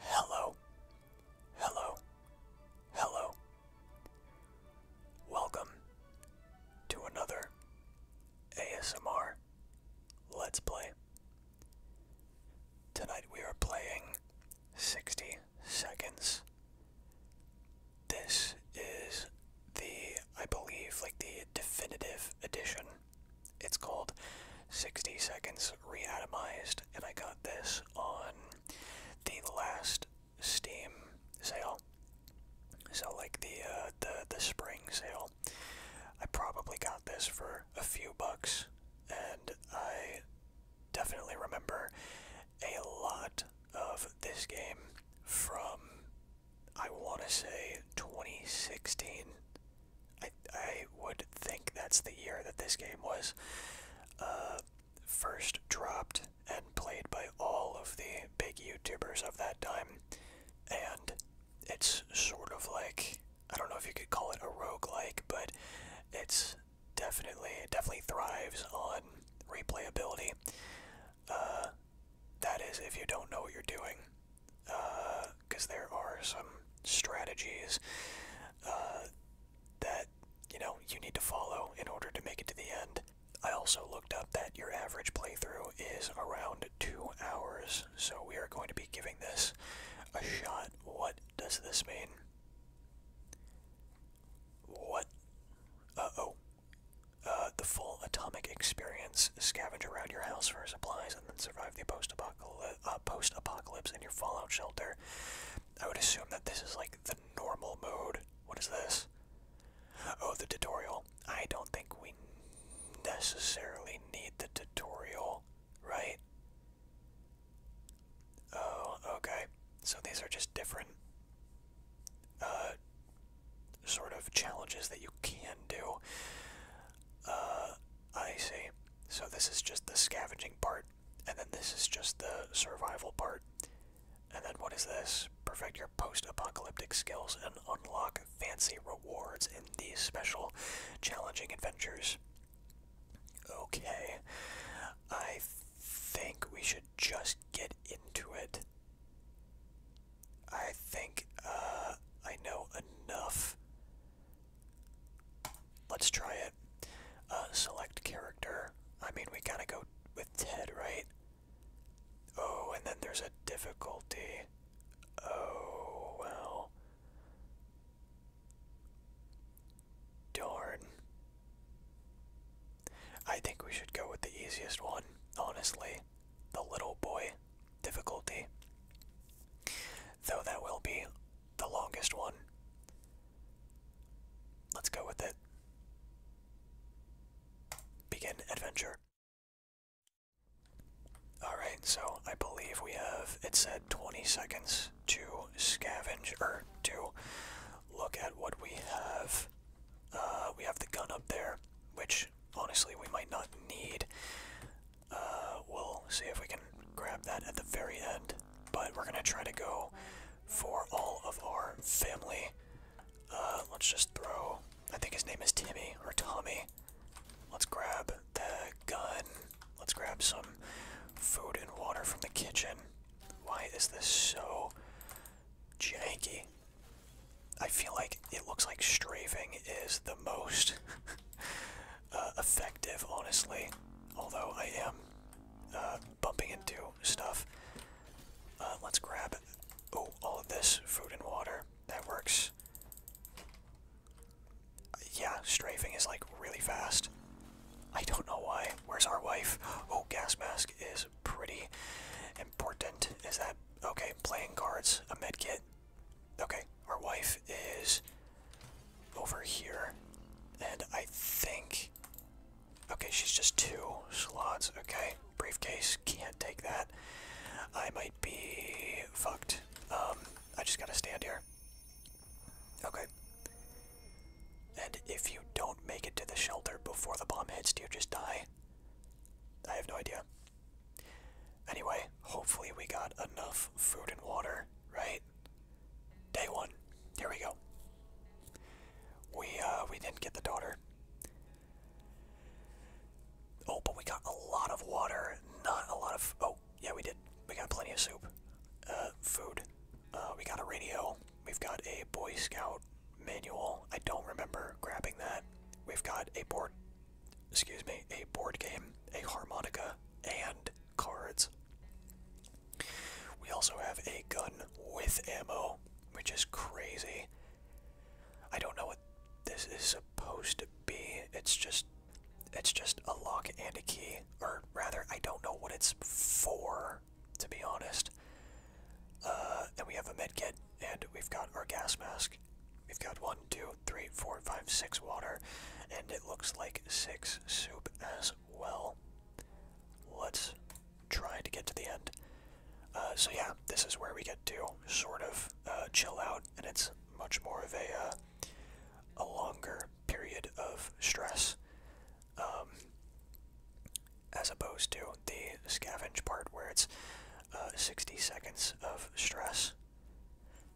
Hello, hello, hello. Welcome to another ASMR Let's Play. Tonight we are playing 60 Seconds. This is the, I believe, like the definitive edition it's called 60 Seconds Reatomized, and I got this on the last Steam sale. So like the uh, the the spring sale, I probably got this for a few bucks, and I definitely remember a lot of this game from I want to say 2016. I, I would think that's the year that this game was uh, first dropped and played by all of the big YouTubers of that time. And it's sort of like, I don't know if you could call it a rogue like, but it's definitely, it definitely thrives on replayability. Uh, that is, if you don't know what you're doing. Uh, because there are some strategies uh, that you know you need to follow in order to make it to the end. I also looked up that your average playthrough is around two hours, so we are going to be giving this a shot. What does this mean? What? Uh oh. the full atomic experience. Scavenge around your house for a and then survive the uh, post-apocalypse in your fallout shelter. I would assume that this is like the normal mode. What is this? Oh, the tutorial. I don't think we necessarily need the tutorial, right? Oh, okay. So these are just different uh, sort of challenges that you can do. Uh, I see. So this is just the scavenging part, and then this is just the survival part. And then what is this? Perfect your post-apocalyptic skills and unlock fancy rewards in these special challenging adventures. Okay. I think we should just get into it. I think uh, I know enough. Let's try it. Uh, select character. I mean, we gotta go with Ted, right? Oh, and then there's a difficulty. Oh, well. Darn. I think we should go with the easiest one, honestly the little boy difficulty, though that will be the longest one. Let's go with it. Begin adventure. Alright, so I believe we have, it said 20 seconds to scavenge, or to look at what we have. Uh, we have the gun up there, which honestly we might not need. Uh, we'll see if we can grab that at the very end. But we're gonna try to go for all of our family. Uh, let's just throw. I think his name is Timmy or Tommy. Let's grab the gun. Let's grab some food and water from the kitchen. Why is this so janky? I feel like it looks like strafing is the most uh, effective, honestly. Although I am uh, bumping into stuff. Uh, let's grab oh all of this food and water. That works. Yeah, strafing is like really fast. I don't know why. Where's our wife? Oh, gas mask is pretty important. Is that okay? Playing cards, a kit. Okay, our wife is over here. And I think. Okay, she's just two slots. Okay, briefcase. Can't take that. I might be fucked. Um, I just gotta stand here. Okay. And if you don't make it to the shelter before the bomb hits, do you just die? I have no idea. Anyway, hopefully we got enough food and water, right? Day one. There we go. We uh we didn't get the daughter. Oh, but we got a lot of water, not a lot of oh, yeah we did. We got plenty of soup. Uh food. Uh we got a radio. We've got a Boy Scout manual. I don't remember grabbing that. We've got a board excuse me, a board game, a harmonica, and cards. We also have a gun with ammo, which is crazy. I don't know what this is supposed to be. It's just it's just a lock and a key, or rather, I don't know what it's for, to be honest. Uh, and we have a med kit, and we've got our gas mask, We've got one, two, three, four, five, six water, and it looks like six soup as well. Let's try to get to the end. Uh, so yeah, this is where we get to sort of uh, chill out, and it's much more of a uh, a longer period of stress, um, as opposed to the scavenge part where it's 60 seconds of stress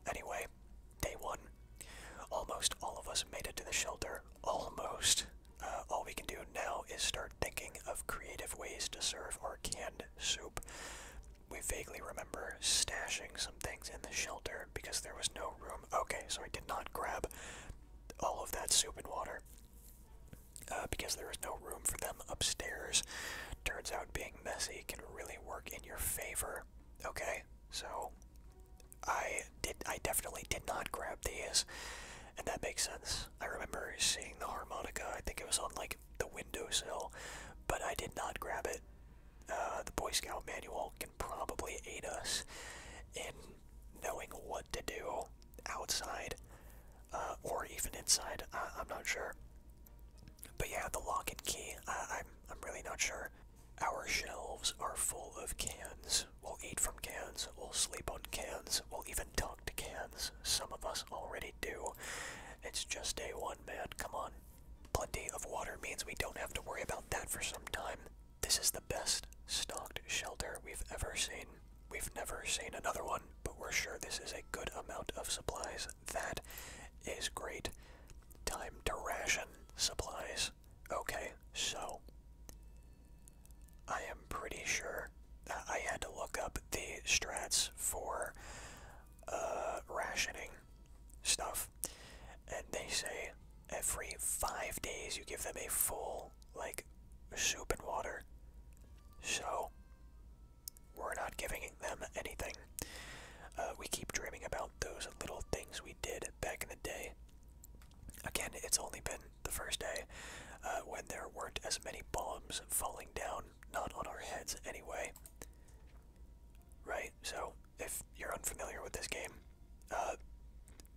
Anyway, day one. Almost all of us made it to the shelter. Almost. Uh, all we can do now is start thinking of creative ways to serve our canned soup. We vaguely remember stashing some things in the shelter because there was no room. Okay, so I did not grab all of that soup and water uh, because there was no room for them upstairs. Turns out being messy can really work in your favor. Okay, so I did. I definitely did not grab these, and that makes sense. I remember seeing the harmonica. I think it was on like the windowsill, but I did not grab it. Uh, the Boy Scout manual can probably aid us in knowing what to do outside uh, or even inside. I'm not sure. But yeah, the lock and key. I'm I'm really not sure. Our shelves are full of cans. We'll eat from cans. We'll sleep on cans. We'll even talk to cans. Some of us already do. It's just day one, man. Come on. Plenty of water means we don't have to worry about that for some time. This is the best stocked shelter we've ever seen. We've never seen another one, but we're sure this is a good amount of supplies that is great. Time to ration supplies. Okay, so I am pretty sure uh, I had to look up the strats for uh, rationing stuff, and they say every five days you give them a full like soup and water. So we're not giving them anything. Uh, we keep dreaming about those little things we did back in the day. Again, it's only been the first day uh, when there weren't as many bombs falling down, not on our heads anyway. Right? So, if you're unfamiliar with this game, uh,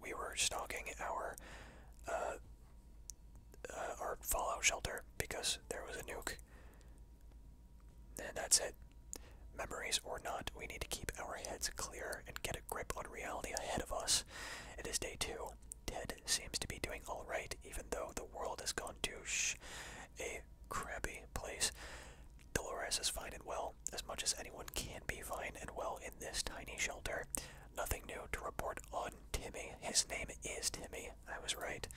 we were stalking our our fallout shelter because there was a nuke and that's it. Memories or not, we need to keep our heads clear and get a grip on reality ahead of us. It is day two. Ted seems to be doing alright, even though the world has gone to sh. a crappy place. Dolores is fine and well, as much as anyone can be fine and well in this tiny shelter. Nothing new to report on Timmy. His name is Timmy. I was right.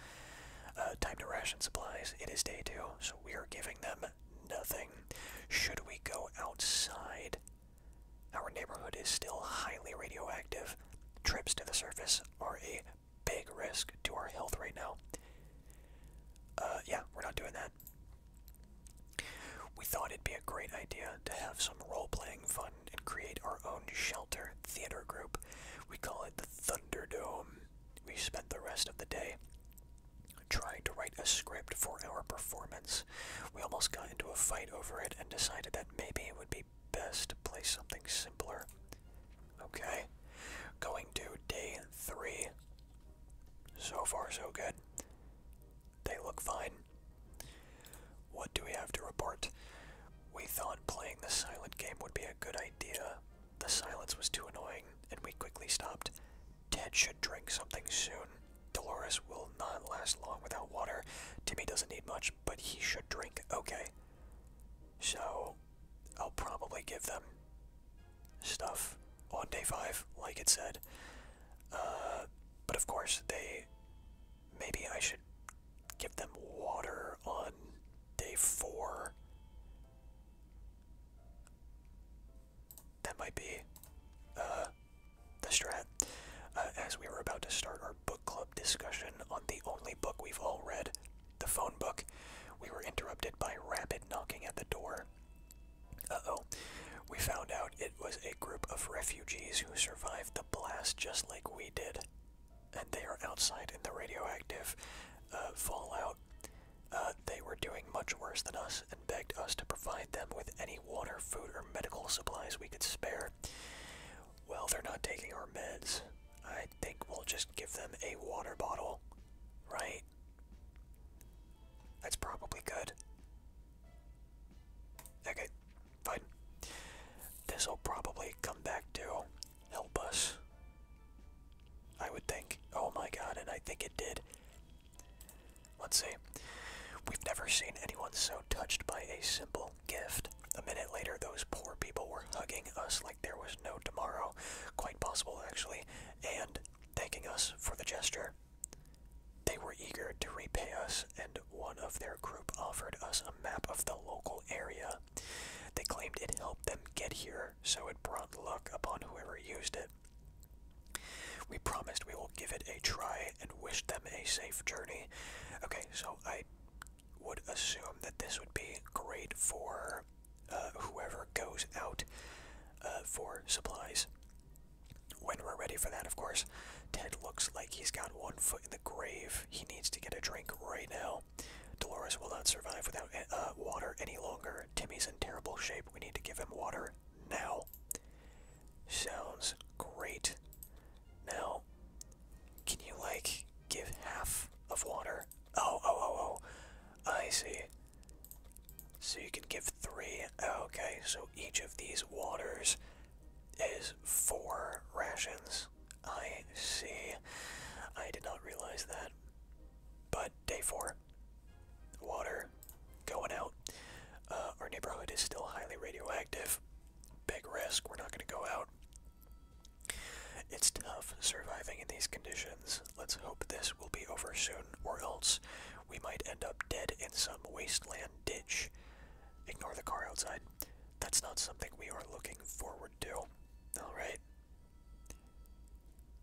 Uh, time to ration supplies. It is day two, so we are giving them nothing. Should we go outside? Our neighborhood is still highly radioactive. Trips to the surface are a big risk to our health right now. Uh, yeah, we're not doing that. We thought it'd be a great idea to have some role playing fun and create our own shelter theater group. We call it the Thunderdome we spent the rest of the day trying to write a script for our performance. We almost got into a fight over it and decided that maybe it would be best to play something simpler. Okay, going to day three. So far, so good. They look fine. What do we have to report? We thought playing the silent game would be a good idea, the silence was too annoying, and we quickly stopped. Ted should drink something soon. Dolores will not last long without water. Timmy doesn't need much, but he should drink. Okay. So, I'll probably give them stuff on day five, like it said. Uh, but of course, they. Maybe I should give them water on day four. That might be uh, the strat. Uh, as we were about to start our book club discussion on the only book we've all read, the phone book, we were interrupted by rapid knocking at the door. Uh oh. We found out it was a group of refugees who survived the blast just like we did and they are outside in the radioactive uh, fallout. Uh, they were doing much worse than us and begged us to provide them with any water, food, or medical supplies we could spare. Well, they're not taking our meds. I think we'll just give them a water bottle, right? That's probably good. Okay, fine. This'll probably come back to help us. I would think. Oh my god, and I think it did. Let's see. We've never seen anyone so touched by a simple gift. A minute later, those poor people were hugging us like there was no tomorrow. Quite possible, actually. And thanking us for the gesture. They were eager to repay us, and one of their group offered us a map of the local area. They claimed it helped them get here, so it brought luck upon whoever used it. We promised we will give it a try and wish them a safe journey. Okay, so I would assume that this would be great for uh, whoever goes out uh, for supplies. When we're ready for that, of course. Ted looks like he's got one foot in the grave. He needs to get a drink right now. Dolores will not survive without eh, uh, water any longer. Timmy's in terrible shape. We need to give him water now. Sounds great. Now, can you, like, give half of water? Oh, oh, oh, oh. I see. So you can give three. Okay, so each of these waters is four rations. I see. I did not realize that. But day four, water going out. Uh, our neighborhood is still highly radioactive. Big risk. We're not going to go out. It's tough surviving in these conditions. Let's hope this will be over soon, or else we might end up dead in some wasteland ditch. Ignore the car outside. That's not something we are looking forward to. Alright,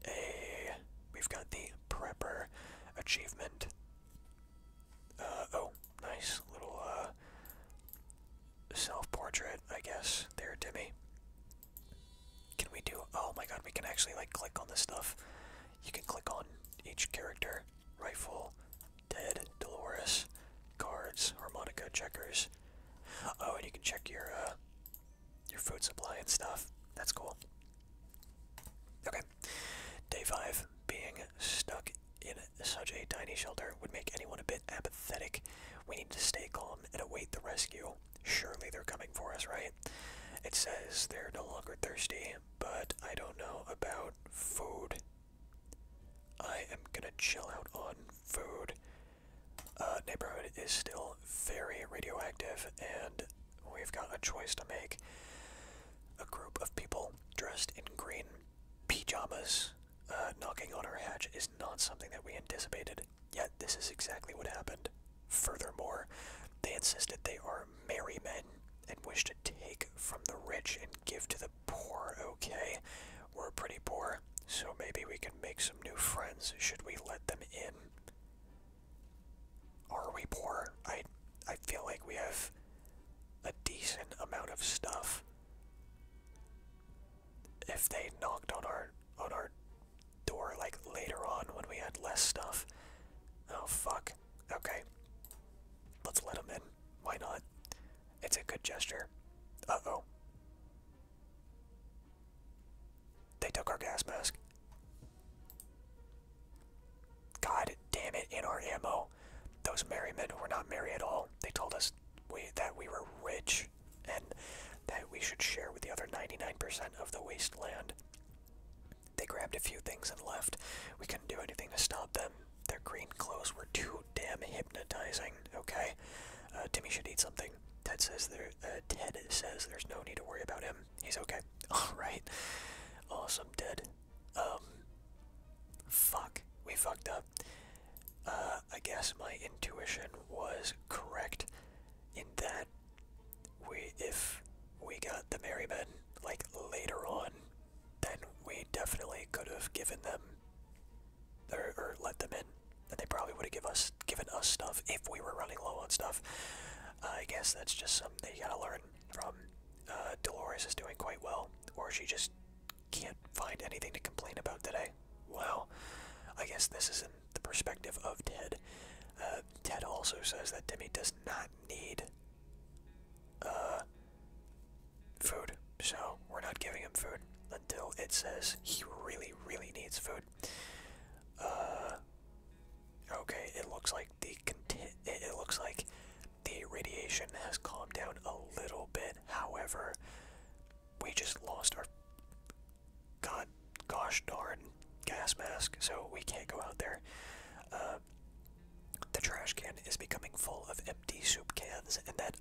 a, we've got the Prepper achievement. Uh, oh, nice little uh, self-portrait, I guess, there, Timmy. Can we do, oh my god, we can actually, like, click on this stuff. You can click on each character. Rifle, Dead, Dolores, cards, harmonica checkers. Oh, and you can check your uh, your food supply and stuff. That's cool. Okay, day five. Being stuck in such a tiny shelter would make anyone a bit apathetic. We need to stay calm and await the rescue. Surely they're coming for us, right? It says they're no longer thirsty, but I don't know about food. I am gonna chill out on food. Uh, neighborhood is still very radioactive, and we've got a choice to make. A group of people dressed in green pajamas uh, knocking on our hatch is not something that we anticipated, yet, this is exactly what happened. Furthermore, they insisted they are merry men and wish to take from the rich and give to the poor, okay? We're pretty poor, so maybe we can make some new friends should we let them in. Are we poor? I I feel like we have a decent amount of stuff. If they knocked on our on our door like later on when we had less stuff. Oh fuck. Okay. Let's let them in. Why not? It's a good gesture. Uh-oh. They took our gas mask. God damn it, in our ammo. Those merry men were not merry at all. They told us we, that we were rich and that we should share with the other 99% of the wasteland. They grabbed a few things and left. We couldn't do anything to stop them. Their green clothes were too damn hypnotizing, okay? Uh, Timmy should eat something. Ted says there. Uh, Ted says there's no need to worry about him. He's okay. All right. Awesome, Ted. Um. Fuck. We fucked up. Uh, I guess my intuition was correct in that we, if we got the Merry Men like later on, then we definitely could have given them or, let them in, and they probably would have give us given us stuff if we were running low on stuff. I guess that's just something you gotta learn from. Uh, Dolores is doing quite well, or she just can't find anything to complain about today. Well, I guess this is in the perspective of Ted. Uh, Ted also says that Demi does not need uh, food, so we're not giving him food until it says he really, really needs food. Uh, okay, it looks like the it looks like the radiation has calmed down a little bit. However, we just lost our god gosh darn gas mask, so we can't go out there. Uh, the trash can is becoming full of empty soup cans and that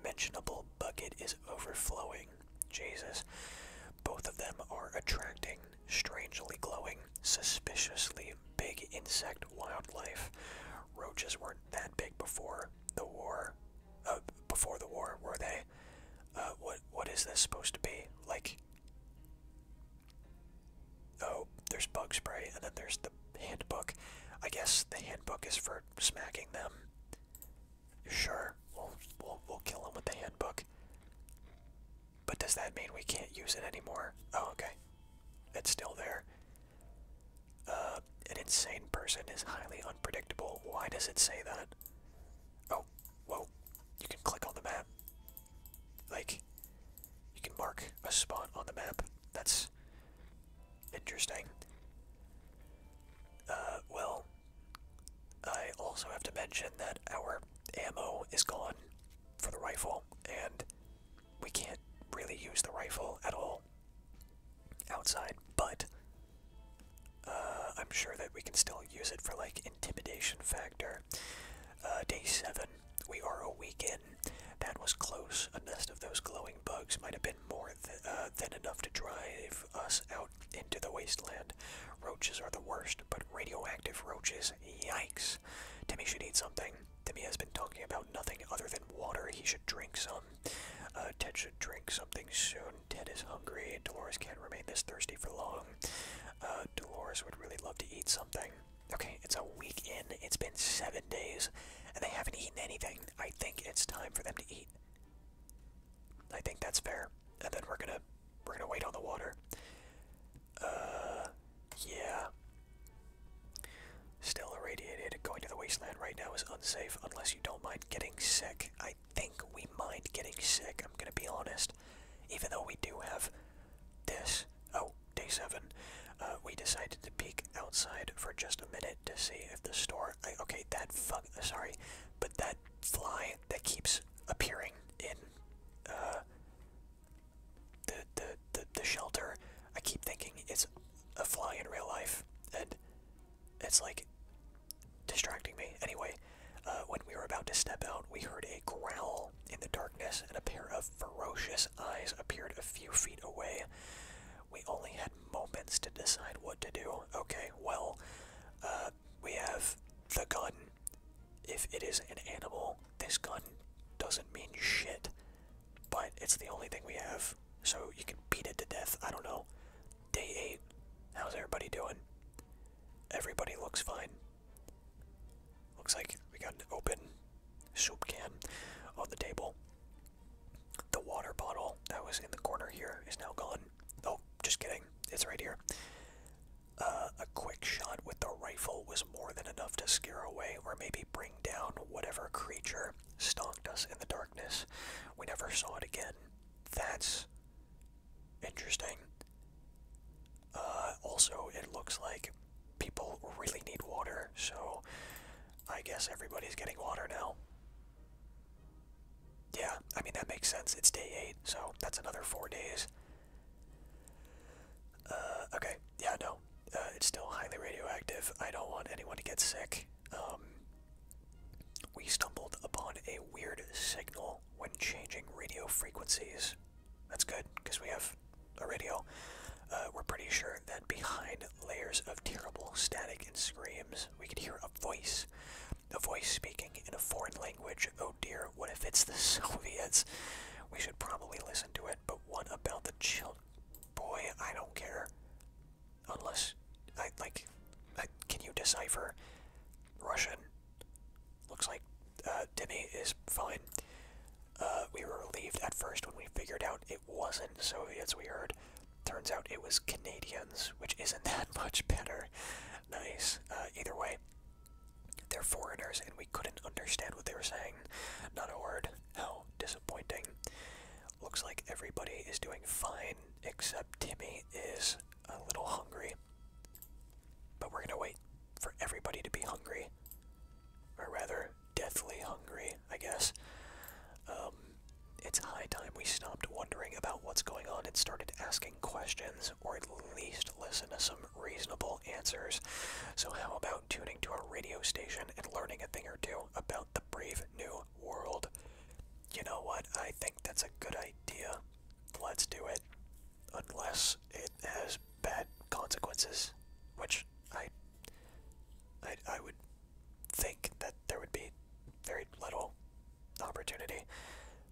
unmentionable bucket is overflowing. Jesus. Both of them are attracting strangely glowing, suspiciously big insect wildlife. Roaches weren't that big before the war. Uh, before the war, were they? Uh, what what is this supposed to be? Like, oh, there's bug spray, and then there's the handbook. I guess the handbook is for smacking them. Sure, we'll, we'll, kill him with the handbook. But does that mean we can't use it anymore? Oh, okay. It's still there. Uh, an insane person is highly unpredictable. Why does it say that? Oh, whoa. You can click on the map. Like, you can mark a spot on the map. That's interesting. Uh, well, I also have to mention that our ammo is gone for the rifle, and we can't really use the rifle at all outside, but uh, I'm sure that we can still use it for like intimidation factor. Uh, day 7, we are a week in. That was close. A nest of those glowing bugs might have been more uh, than enough to drive us out into the wasteland. Roaches are the worst, but radioactive roaches, yikes. Timmy should eat something. Timmy has been talking about nothing other than water. He should drink some. Uh, Ted should drink something soon. Ted is hungry. Dolores can't remain this thirsty for long. Uh, Dolores would really love to eat something. Okay, it's a week in. It's been seven days, and they haven't eaten anything. I think it's time for them to eat. I think that's fair. And then we're gonna we're gonna wait on the water. Uh yeah. Still irradiated. Going to the wasteland right now is unsafe unless you don't mind getting sick. I think we mind getting sick, I'm gonna be honest. Even though we do have this. Oh, day seven. Uh, we decided to peek outside for just a minute to see if the store okay that fuck sorry but that fly that keeps appearing in uh, the the the, the shelter I keep thinking it's a fly in real life and it's like distracting me anyway uh, when we were about to step out we heard a growl in the darkness and a pair of ferocious eyes appeared a few feet away we only had moments to decide what to do. Okay, well, uh, we have the gun. If it is an animal, this gun doesn't mean shit, but it's the only thing we have, so you can beat it to death. I don't know. Day 8. How's everybody doing? Everybody looks fine. Looks like we got an open soup can on the table. The water bottle that was in the corner here is now gone. Oh, just kidding. It's right here. Uh, a quick shot with the rifle was more than enough to scare away or maybe bring down whatever creature stalked us in the darkness. We never saw it again. That's interesting. Uh, also, it looks like people really need water, so I guess everybody's getting water now. Yeah, I mean, that makes sense. It's day 8, so that's another 4 days. Uh, okay, yeah, no. Uh, it's still highly radioactive. I don't want anyone to get sick. Um, we stumbled upon a weird signal when changing radio frequencies. That's good, because we have a radio. Uh, we're pretty sure that behind layers of terrible static and screams, we could hear a voice a voice speaking in a foreign language. Oh dear, what if it's the Soviets? We should probably listen to it, but what about the child? Boy, I don't care. Unless, I like, can you decipher Russian? Looks like uh, Demi is fine. Uh, we were relieved at first when we figured out it wasn't Soviets we heard. Turns out it was Canadians, which isn't that much better. Nice. Uh, either way, they're foreigners and we couldn't understand what they were saying. Not a word. How disappointing. Looks like everybody is doing fine except Timmy is a little hungry. But we're gonna wait for everybody to be hungry. Or rather, deathly hungry, I guess. Um, it's high time we stopped wondering about what's going on and started asking questions, or at least listen to some reasonable answers. So, how about tuning to a radio station and learning a thing or two about the brave new world? You know what? I think that's a good idea. Let's do it. Unless it has bad consequences, which I, I, I would think that there would be very little opportunity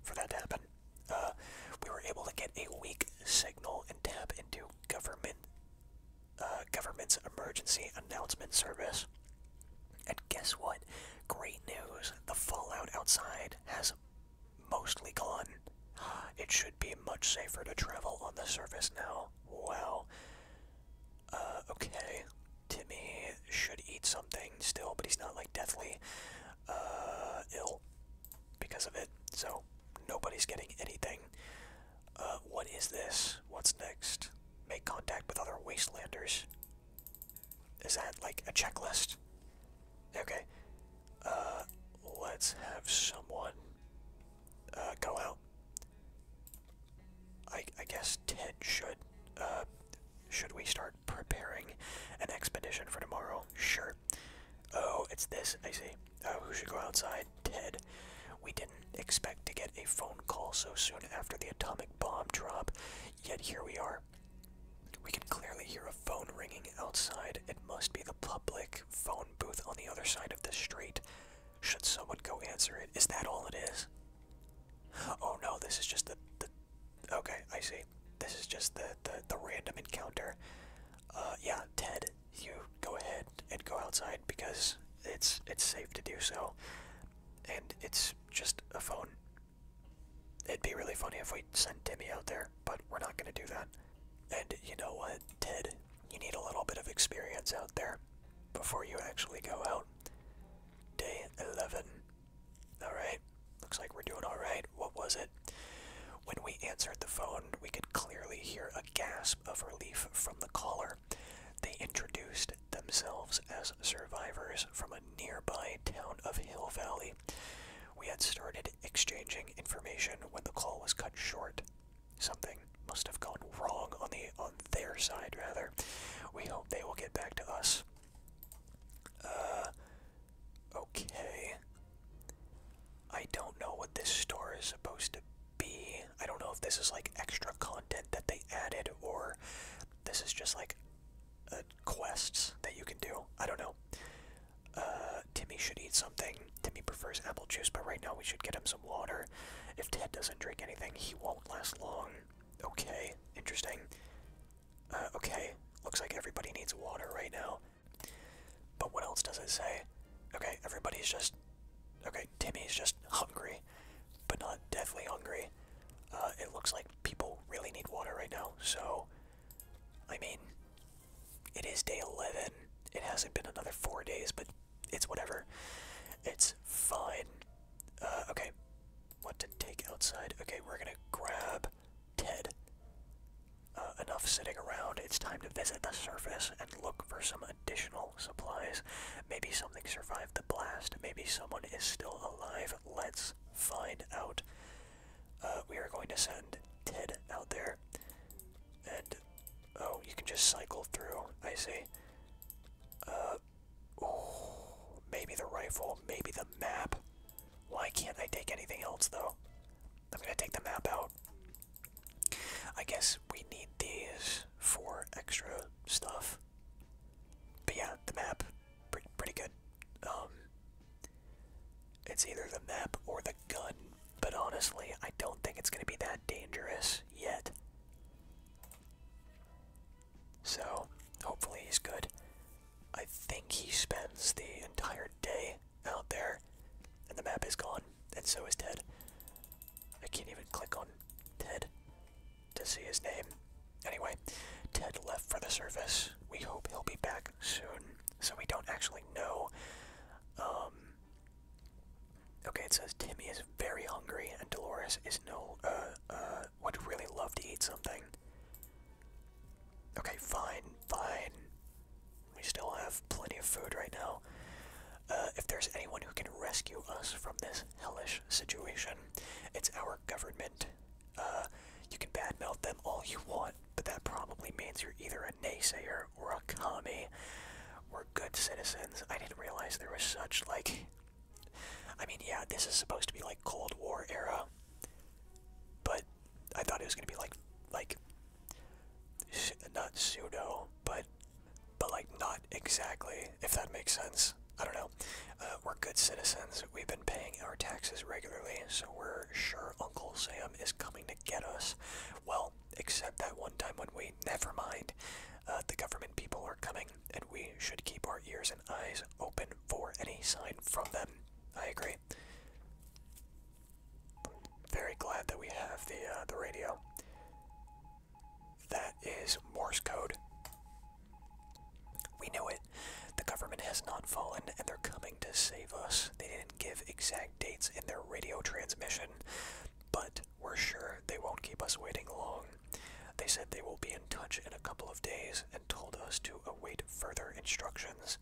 for that to happen. Uh, we were able to get a weak signal and tap into government uh, government's emergency announcement service. And guess what? Great news! The fallout outside has mostly gone. It should be much safer to travel on the surface now. Well. Uh, okay. Timmy should eat something still, but he's not like deathly uh, ill because of it. So nobody's getting anything. Uh, what is this? What's next? Make contact with other wastelanders. Is that like a checklist? Okay. let's have someone go out. I, guess Ted should. Uh, should we start preparing an expedition for tomorrow? Sure. Oh, it's this. I see. Oh, uh, who should go outside? Ted. We didn't expect to get a phone call so soon after the atomic bomb drop, yet here we are. We can clearly hear a phone ringing outside. It must be the public phone booth on the other side of the street. Should someone go answer it? Is that all it is? Oh no, this is just the, the okay, I see. This is just the, the, the random encounter. Uh, yeah, Ted, you go ahead and go outside because it's it's safe to do so. And it's just a phone. It'd be really funny if we sent Timmy out there, but we're not gonna do that. And you know what, Ted, you need a little bit of experience out there before you actually go out. Day 11. Alright, looks like we're doing alright. What was it? When we answered the phone, we could clearly hear a gasp of relief from the caller. They introduced themselves as survivors from a nearby town of Hill Valley. We had started exchanging information when the call was cut short. Something must have gone wrong on the on their side rather. We hope they will get back to us uh, okay. I don't know what this store is supposed to be. I don't know if this is like extra content that they added or this is just like uh, quests that you can do. I don't know. Uh, Timmy should eat something. Timmy prefers apple juice, but right now we should get him some water. If Ted doesn't drink anything, he won't last long. Okay, interesting. Uh, okay, looks like everybody needs water right now. But what else does it say? Okay, everybody's just. Okay, Timmy's just hungry, but not deathly hungry. Uh, it looks like people really need water right now, so. I mean, it is day 11. It hasn't been another four days, but it's whatever. It's fine. Uh, okay, what to take outside? Okay, we're gonna grab Ted. Uh, enough sitting around. It's time to visit the surface and look for some additional supplies. Maybe something survived the blast. Maybe someone is still alive. Let's find out. Uh, we are going to send Ted out there. And, oh, you can just cycle through. I see. Uh, Ooh, maybe the rifle, maybe the map. Why can't I take anything else though? I'm gonna take the map out. I guess we need these for extra stuff. But yeah, the map, pretty, pretty good. Um, it's either the map or the gun, but honestly, I don't think it's gonna be that dangerous yet. So, hopefully, he's good. I think he spends the entire day out there, and the map is gone, and so is Ted. I can't even click on Ted to see his name. Anyway, Ted left for the surface. We hope he'll be back soon, so we don't actually know. Um, okay, it says Timmy is very hungry, and Dolores is no, uh, uh, uh, would really love to eat something. Okay, fine, fine. We still have plenty of food right now. Uh, if there's anyone who can rescue us from this hellish situation, it's our government. Uh, you can badmouth them all you want, but that probably means you're either a naysayer or a commie. We're good citizens. I didn't realize there was such, like, I mean, yeah, this is supposed to be like Cold War era, but I thought it was gonna be like like not pseudo, but but like not exactly, if that makes sense. I don't know. Uh, we're good citizens. We've been paying our taxes regularly, so we're sure Uncle Sam is coming to get us. Well, except that one time when we never mind. Uh, the government people are coming and we should keep our ears and eyes open for any sign from them. I agree. Very glad that we have the uh, the radio. That is Morse code. We know it. The government has not fallen, and they're coming to save us. They didn't give exact dates in their radio transmission, but we're sure they won't keep us waiting long. They said they will be in touch in a couple of days and told us to await further instructions.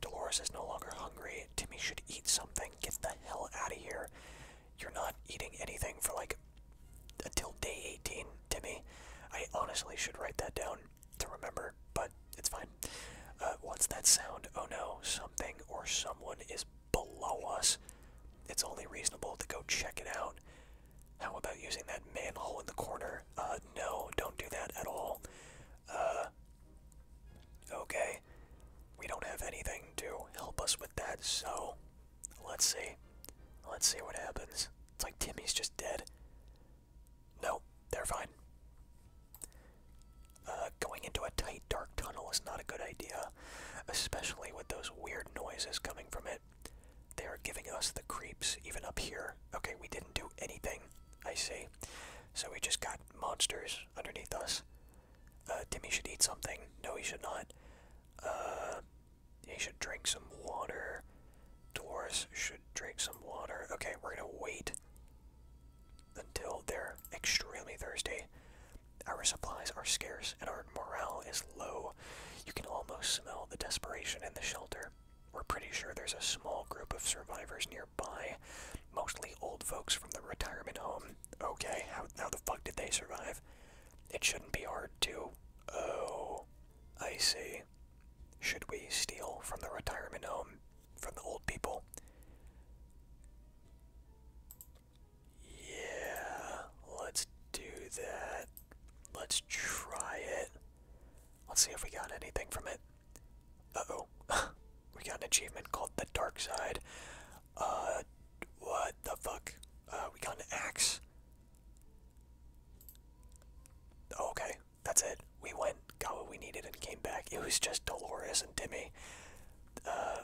Dolores is no longer hungry. Timmy should eat something. Get the hell out of here. You're not eating anything for like until day 18, Timmy. I honestly should write that down to remember, but it's fine. Uh, what's that sound? Oh no, something or someone is below us. It's only reasonable to go check it out. How about using that manhole in the corner? Uh, no, don't do that at all. Uh, okay. We don't have anything to help us with that, so let's see. Let's see what happens. It's like Timmy's just dead. No, they're fine. Uh, going into a tight, dark tunnel is not a good idea, especially with those weird noises coming from it. They are giving us the creeps even up here. Okay, we didn't do anything. I see. So we just got monsters underneath us. Uh, Timmy should eat something. No, he should not. Uh, he should drink some water. Doris should drink some water. Okay, we're gonna wait until they're extremely thirsty. Our supplies are scarce and our morale is low you can almost smell the desperation in the shelter. We're pretty sure there's a small group of survivors nearby, mostly old folks from the retirement home. Okay, how the fuck did they survive? It shouldn't be hard to. Oh, I see. Should we steal from the retirement home? From the old people? Yeah, let's do that. Let's try it. Let's see if we got anything from it. Uh-oh. we got an achievement called The Dark Side. Uh, what the fuck? Uh, we got an axe. Oh, okay, that's it. We went, got what we needed, and came back. It was just Dolores and Timmy. Uh,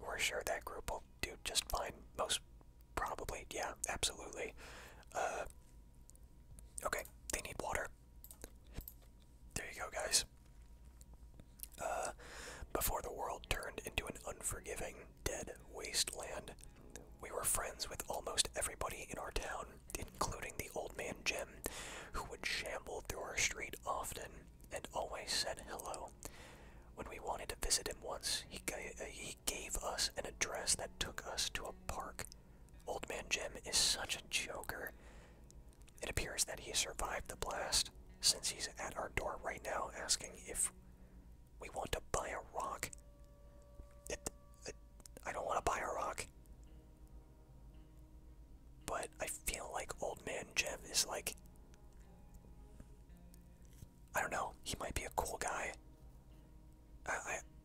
we're sure that group will do just fine. Most probably, yeah, absolutely. Uh, okay, they need water. There you go, guys. Uh, before the world turned into an unforgiving, dead wasteland, we were friends with almost everybody in our town, including the old man Jim, who would shamble through our street often and always said hello. When we wanted to visit him once, he gave, uh, he gave us an address that took us to a park. Old Man Jim is such a joker. It appears that he survived the blast, since he's at our door right now asking if we want to buy a rock. I don't want to buy a rock. But I feel like Old Man Jim is like. I don't know. He might be a cool guy. I,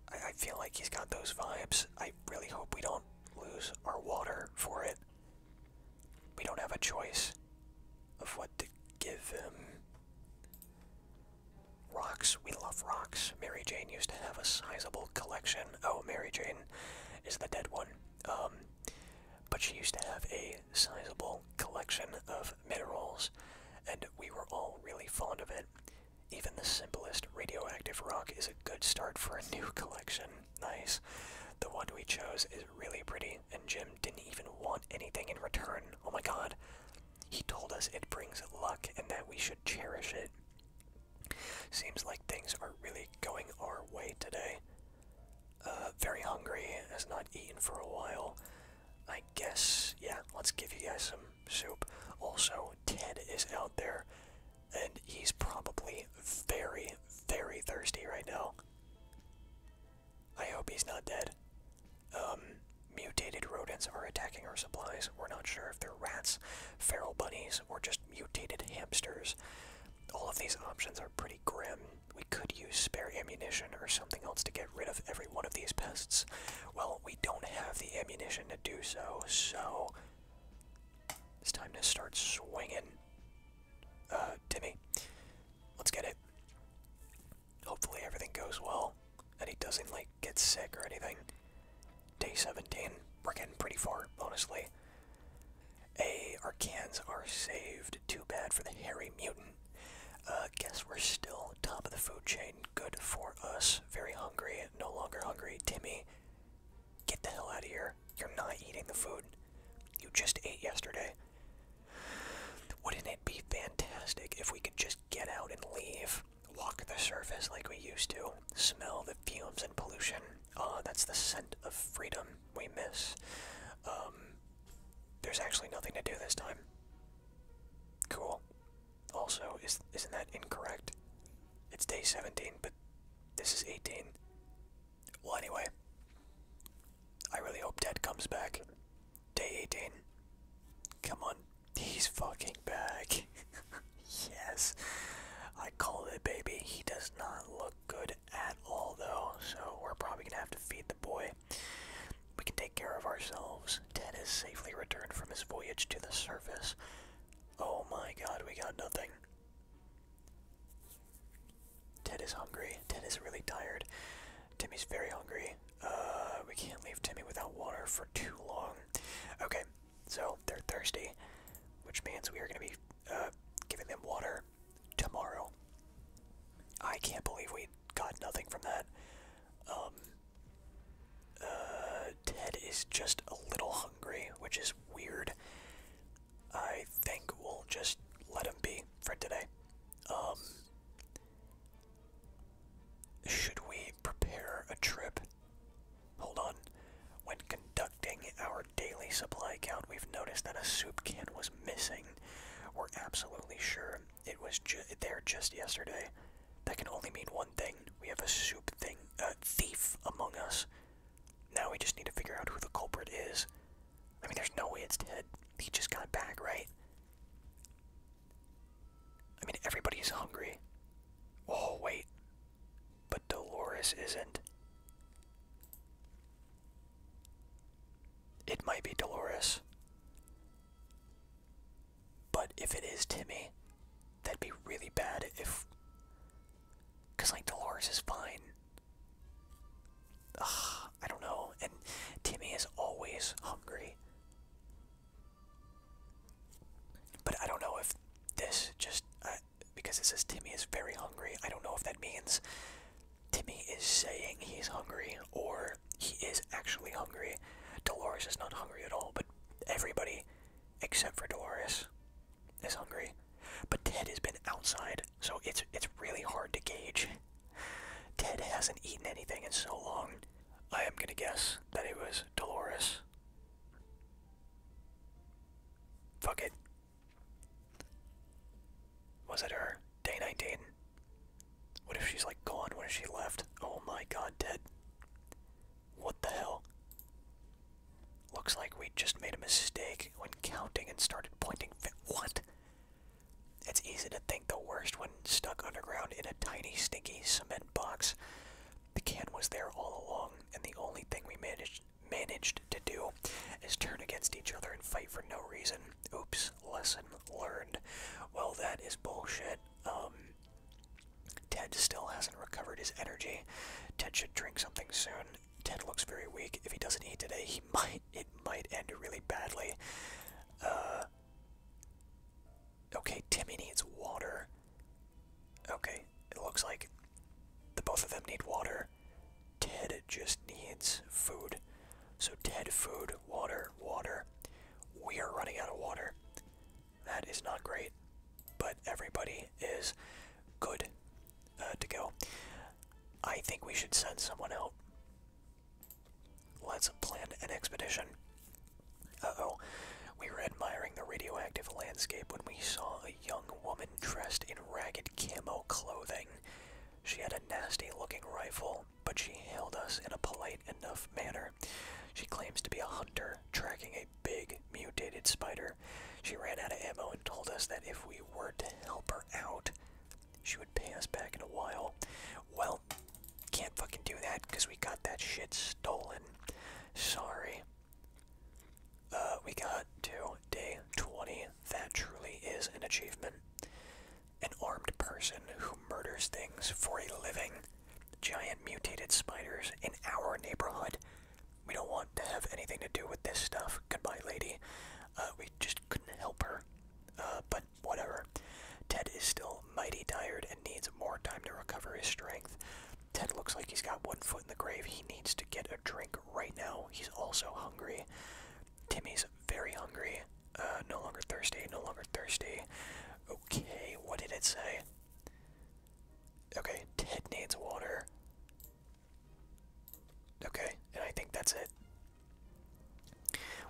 I, I feel like he's got those vibes. I really hope we don't lose our water for it. We don't have a choice of what to give him. Rocks. We love rocks. Mary Jane used to have a sizable collection. Oh, Mary Jane is the dead one. Um, but she used to have a sizable collection of minerals, and we were all really fond of it. Even the simplest radioactive rock is a good start for a new collection. Nice. The one we chose is really pretty, and Jim didn't even want anything in return. Oh my god. He told us it brings luck and that we should cherish it. Seems like things are really going our way today. Uh, very hungry, has not eaten for a while. I guess, yeah, let's give you guys some soup. Also, Ted is out there, and he's probably very, very thirsty right now. I hope he's not dead. Um, mutated rodents are attacking our supplies. We're not sure if they're rats, feral bunnies, or just mutated hamsters. All of these options are pretty grim we could use spare ammunition or something else to get rid of every one of these pests. Well, we don't have the ammunition to do so, so it's time to start swinging. Uh, Timmy, let's get it. Hopefully everything goes well and he doesn't like get sick or anything. Day 17, we're getting pretty far, honestly. A, our cans are saved. Too bad for the hairy mutant. Uh, guess we're still top of the food chain. Good for us. Very hungry. No longer hungry. Timmy, get the hell out of here. You're not eating the food you just ate yesterday. Wouldn't it be fantastic if we could just get out and leave? Walk the surface like we used to. Smell the fumes and pollution. Ah, that's the scent of freedom we miss. Um, there's actually nothing to do this time. Cool. Also, is isn't that incorrect? It's day 17, but this is 18. Well, anyway, I really hope Ted comes back. Day 18. Come on, he's fucking back. yes, I called it, baby. He does not look good at all, though, so we're probably gonna have to feed the boy. We can take care of ourselves. Ted has safely returned from his voyage to the surface. Oh my god, we got nothing. Ted is hungry. Ted is really tired. Timmy's very hungry. Uh, we can't leave Timmy without water for too long. Okay, so they're thirsty, which means we are going to be uh, giving them water tomorrow. I can't believe we got nothing from that. Um, uh, Ted is just a little hungry, which is weird. I think we'll just let him be for today. Um, should we prepare a trip? Hold on. When conducting our daily supply count, we've noticed that a soup can was missing. We're absolutely sure it was there just yesterday. That can only mean one thing. We have a soup thing, a uh, thief among us. Now we just need to figure out who the culprit is. I mean, there's no way it's Ted. He just got back, right? I mean, everybody's hungry. Oh, wait. But Dolores isn't. It might be Dolores. But if it is Timmy, that'd be really bad if. Because, like, Dolores is fine. Ugh, I don't know. And Timmy is always hungry. But I don't know if this just. Uh, because it says Timmy is very hungry, I don't know if that means Timmy is saying he's hungry, or he is actually hungry. Dolores is not hungry at all, but everybody except for Dolores is hungry. But Ted has been outside, so it's it's really hard to gauge. Ted hasn't eaten anything in so long. I am gonna guess that it was Dolores. Fuck it. Was it her? Day 19. What if she's like gone? What if she left? Oh my god, dead. What the hell? Looks like we just made a mistake when counting and started pointing. What? It's easy to think the worst when stuck underground in a tiny, stinky cement box. The can was there all along, and the only thing we managed managed to do is turn against each other and fight for no reason. Oops, Listen learned. Well, that is bullshit. Um, Ted still hasn't recovered his energy. Ted should drink something soon. Ted looks very weak. If he doesn't eat today, he might. It might end really badly. Uh, okay, Timmy needs water. Okay, it looks like the both of them need water. Ted just needs food. So dead, food, water, water. We are running out of water. That is not great, but everybody is good uh, to go. I think we should send someone out. Let's plan an expedition. Uh-oh. We were admiring the radioactive landscape when we saw a young woman dressed in ragged camo clothing. She had a nasty-looking rifle but she hailed us in a polite enough manner. She claims to be a hunter tracking a big mutated spider. She ran out of ammo and told us that if we were to help her out, she would pay us back in a while. Well, can't fucking do that because we got that shit stolen. Sorry. Uh, we got to day 20. That truly is an achievement an armed person who murders things for a living. Giant mutated spiders in our neighborhood. We don't want to have anything to do with this stuff. Goodbye, lady. Uh, we just couldn't help her. Uh, but whatever. Ted is still mighty tired and needs more time to recover his strength. Ted looks like he's got one foot in the grave. He needs to get a drink right now. He's also hungry. Timmy's very hungry. Uh, no longer thirsty, no longer thirsty. Okay, what did it say? Okay, Ted needs water. Okay, and I think that's it.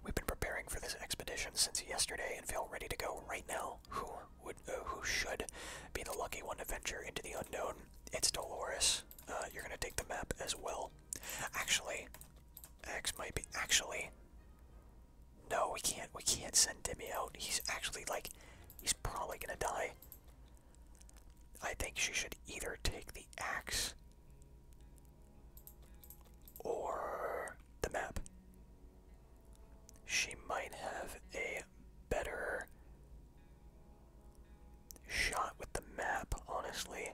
We've been preparing for this expedition since yesterday and feel ready to go right now. Who would, uh, who should be the lucky one to venture into the unknown? It's Dolores. Uh, you're gonna take the map as well. Actually, X might be actually. No, we can't. We can't send Demi out. He's actually like, he's probably gonna die. I think she should either take the axe or the map. She might have a better shot with the map, honestly.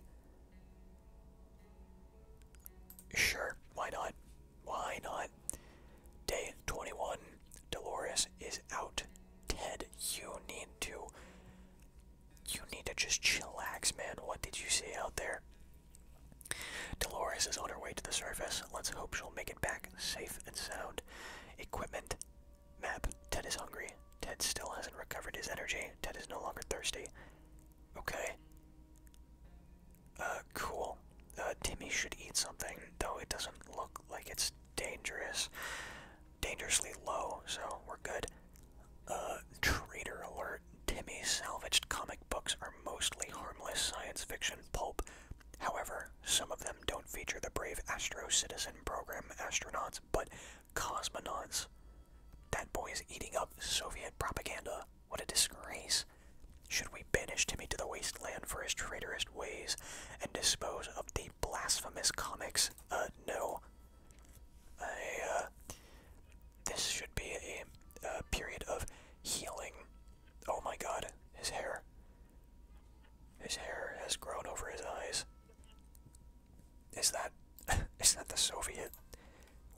Sure, why not? Why not? Day 21. Dolores is out. Ted, you need to. You need to just chillax, man. What did you see out there? Dolores is on her way to the surface. Let's hope she'll make it back safe and sound. Equipment. Map. Ted is hungry. Ted still hasn't recovered his energy. Ted is no longer thirsty. Okay. Uh, cool. Uh, Timmy should eat something, though it doesn't look like it's dangerous. Dangerously low, so we're good. Uh, traitor alert. Timmy's salvaged comic books are mostly harmless science fiction pulp. However, some of them don't feature the brave Astro Citizen program astronauts, but cosmonauts. That boy is eating up Soviet propaganda. What a disgrace. Should we banish Timmy to the wasteland for his traitorous ways and dispose of the blasphemous comics? Uh, no. Uh, this should be a, a period of healing. Oh my god, his hair. His hair has grown over his eyes. Is that. is that the Soviet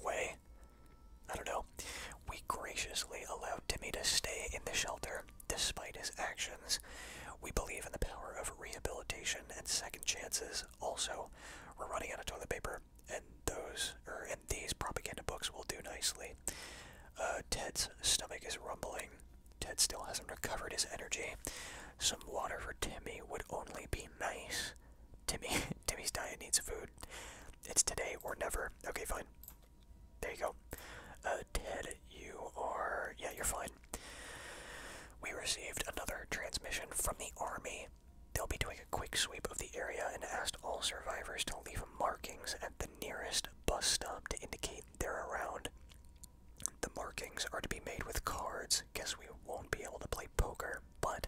way? I don't know. We graciously allowed Timmy to stay in the shelter despite his actions. We believe in the power of rehabilitation and second chances. Also, we're running out of toilet paper, and those or er, and these propaganda books will do nicely. Uh, Ted's stomach is rumbling. Ted still hasn't recovered his energy. Some water for Timmy would only be nice. Timmy, Timmy's diet needs food. It's today or never. Okay, fine. There you go. Uh, Ted, you are. Yeah, you're fine. We received another transmission from the army. They'll be doing a quick sweep of the area and asked all survivors to leave markings at the nearest bus stop to indicate they're around. The markings are to be made with cards lose because we won't be able to play poker. But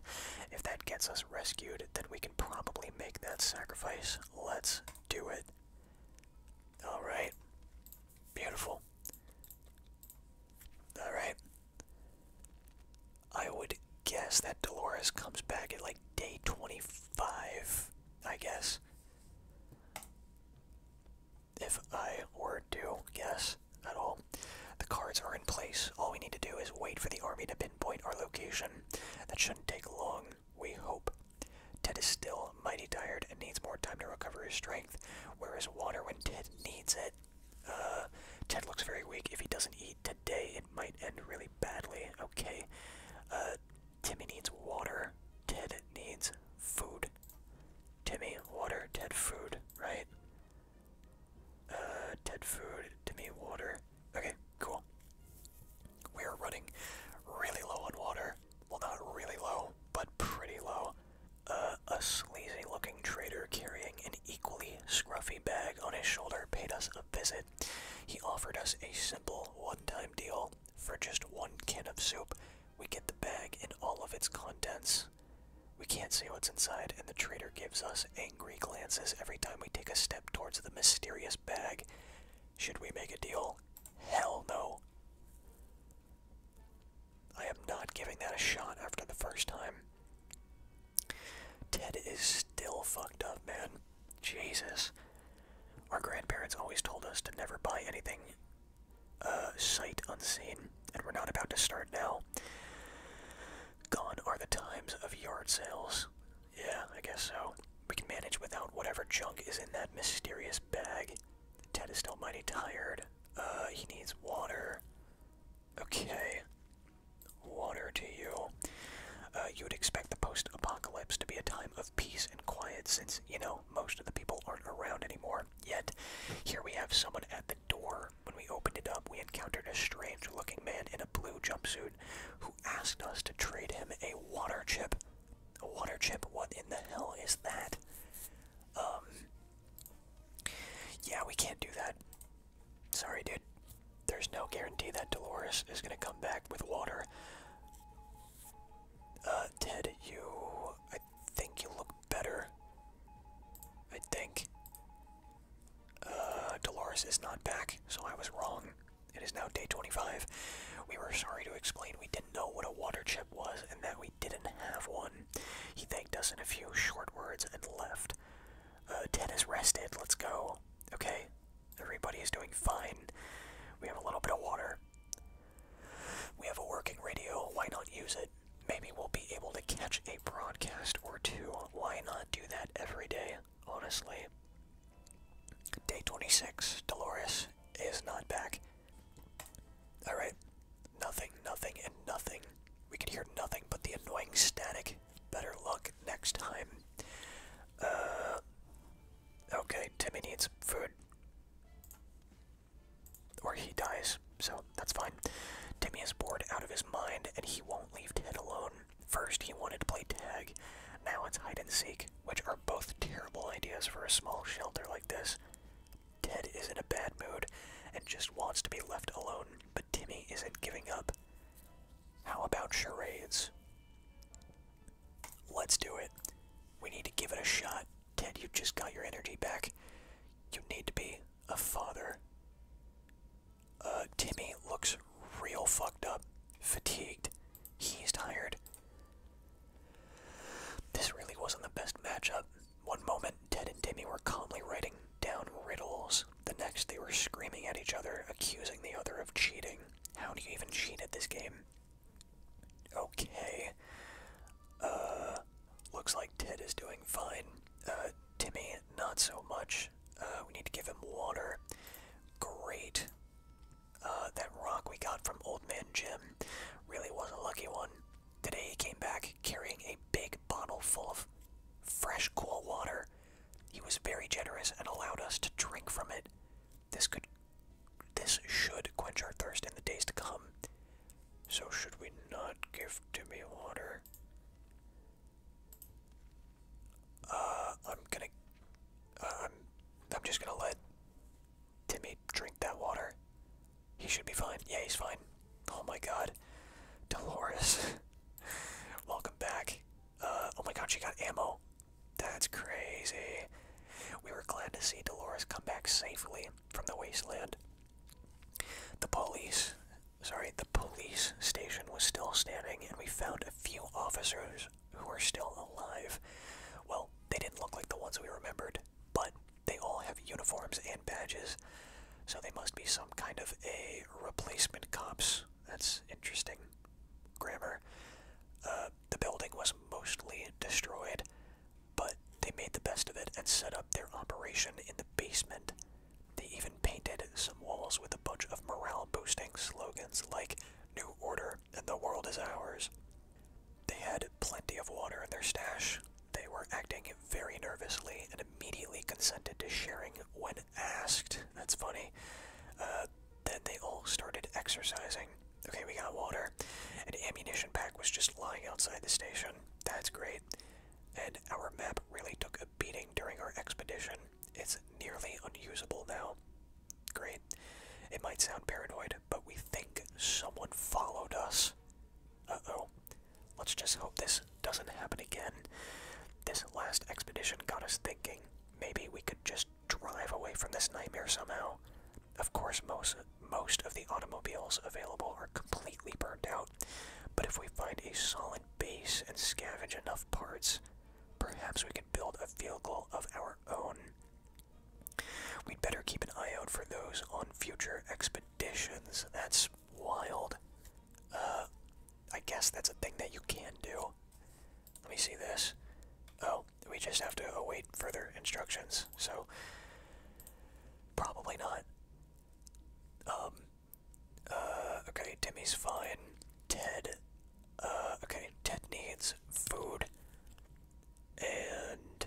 if that gets us rescued, then we can probably make that sacrifice. Let's do it. Alright. Beautiful. Alright. I would guess that Dolores comes back at like day 25, I guess. If I were to guess at all. The cards are in place. All we need to do is wait for the army to pinpoint our location. That shouldn't take long, we hope. Ted is still mighty tired and needs more time to recover his strength. Where is water when Ted needs it? Uh, Ted looks very weak. If he doesn't eat today, it might end really badly. Okay. Uh, Timmy needs water. Ted needs food. Timmy, water, Ted, food, right? Uh, food, to me, water. Okay, cool. We are running really low on water. Well, not really low, but pretty low. Uh, a sleazy looking trader carrying an equally scruffy bag on his shoulder paid us a visit. He offered us a simple one time deal for just one can of soup. We get the bag and all of its contents. We can't see what's inside, and the trader gives us angry glances every time we take a step towards the mysterious bag. Should we make a deal? Hell no. I am not giving that a shot after the first time. Ted is still fucked up, man. Jesus. Our grandparents always told us to never buy anything uh, sight unseen, and we're not about to start now. Gone are the times of yard sales. Yeah, I guess so. We can manage without whatever junk is in that mysterious bag. Ted is still mighty tired. Uh, he needs water. Okay. Water to you. Uh, you would expect the post apocalypse to be a time of peace and quiet since, you know, most of the people aren't around anymore. Yet, here we have someone at the door when we opened it up, we encountered a strange looking man in a blue jumpsuit who asked us to trade him a water chip. A water chip? What in the hell is that? Um. Yeah, we can't do that. Sorry, dude. There's no guarantee that Dolores is gonna come back with water. Uh, Ted, you. I think you look better. I think. Uh, Dolores is not back, so I was wrong. It is now day 25. We were sorry to explain we didn't know what a water chip was and that we didn't have one. He thanked us in a few short words and left. Uh, Ted is rested. Let's go. Okay. Everybody is doing fine. We have a little bit of water. We have a working radio. Why not use it? Maybe we'll be able to catch a broadcast or two. Why not do that every day, honestly? Day 26. Dolores is not back. Alright. Nothing, nothing, and nothing. We could hear nothing but the annoying static. Better luck next time. Uh. Okay, Timmy needs food. Or he dies, so that's fine. Timmy is bored out of his mind, and he won't leave Ted alone. First, he wanted to play tag. Now it's hide and seek, which are both terrible ideas for a small shelter like this. Ted is in a bad mood and just wants to be left alone, but Timmy isn't giving up. How about charades? Let's do it. We need to give it a shot. Ted, you have just got your energy back. You need to be a father. Uh, Timmy looks real fucked up, fatigued. He's tired. This really wasn't the best matchup. One moment, Ted and Timmy were calmly writing down riddles. The next, they were screaming at each other, accusing the other of cheating. How do you even cheat at this game? Okay. Uh, looks like Ted is doing fine. Uh, Timmy not so much. Uh, we need to give him water. Great. Uh, that rock we got from Old Man Jim really was a lucky one. Today he came back carrying a big bottle full of fresh, cool water. He was very generous and allowed us to drink from it. This could, this should quench our thirst in the days to come. So should we not give Timmy water? Uh, I'm gonna. Uh, I'm. I'm just gonna let Timmy drink that water. He should be fine. Yeah, he's fine. Oh my God, Dolores, welcome back. Uh, oh my God, she got ammo. That's crazy. We were glad to see Dolores come back safely from the wasteland. The police, sorry, the police station was still standing, and we found a few officers who were still alive. Well, they didn't look like the ones we remembered, but they all have uniforms and badges, so they must be some kind of a replacement cops. That's interesting grammar. Uh, the building was mostly destroyed, but they made the best of it and set up their operation in the basement. They even painted some walls with a bunch of morale boosting slogans like New Order and the World is Ours. They had plenty of water in their stash. They were acting very nervously and immediately consented to sharing when asked. That's funny. Uh, then they all started exercising. Okay, we got water. An ammunition pack was just lying outside the station. That's great. And our map really took beating during our expedition. It's nearly unusable now. Great. It might sound paranoid, but we think someone followed us. Uh oh. Let's just hope this doesn't happen again. This last expedition got us thinking maybe we could just drive away from this nightmare somehow. Of course, most, most of the automobiles available are completely burned out. But if we find a solid base and scavenge enough parts, perhaps we can build a vehicle of our own. We'd better keep an eye out for those on future expeditions. That's wild. Uh, I guess that's a thing that you can do. Let me see this. Oh, we just have to await further instructions, so probably not. Um, uh, okay, Timmy's fine. Ted, uh, okay, Ted needs food. And,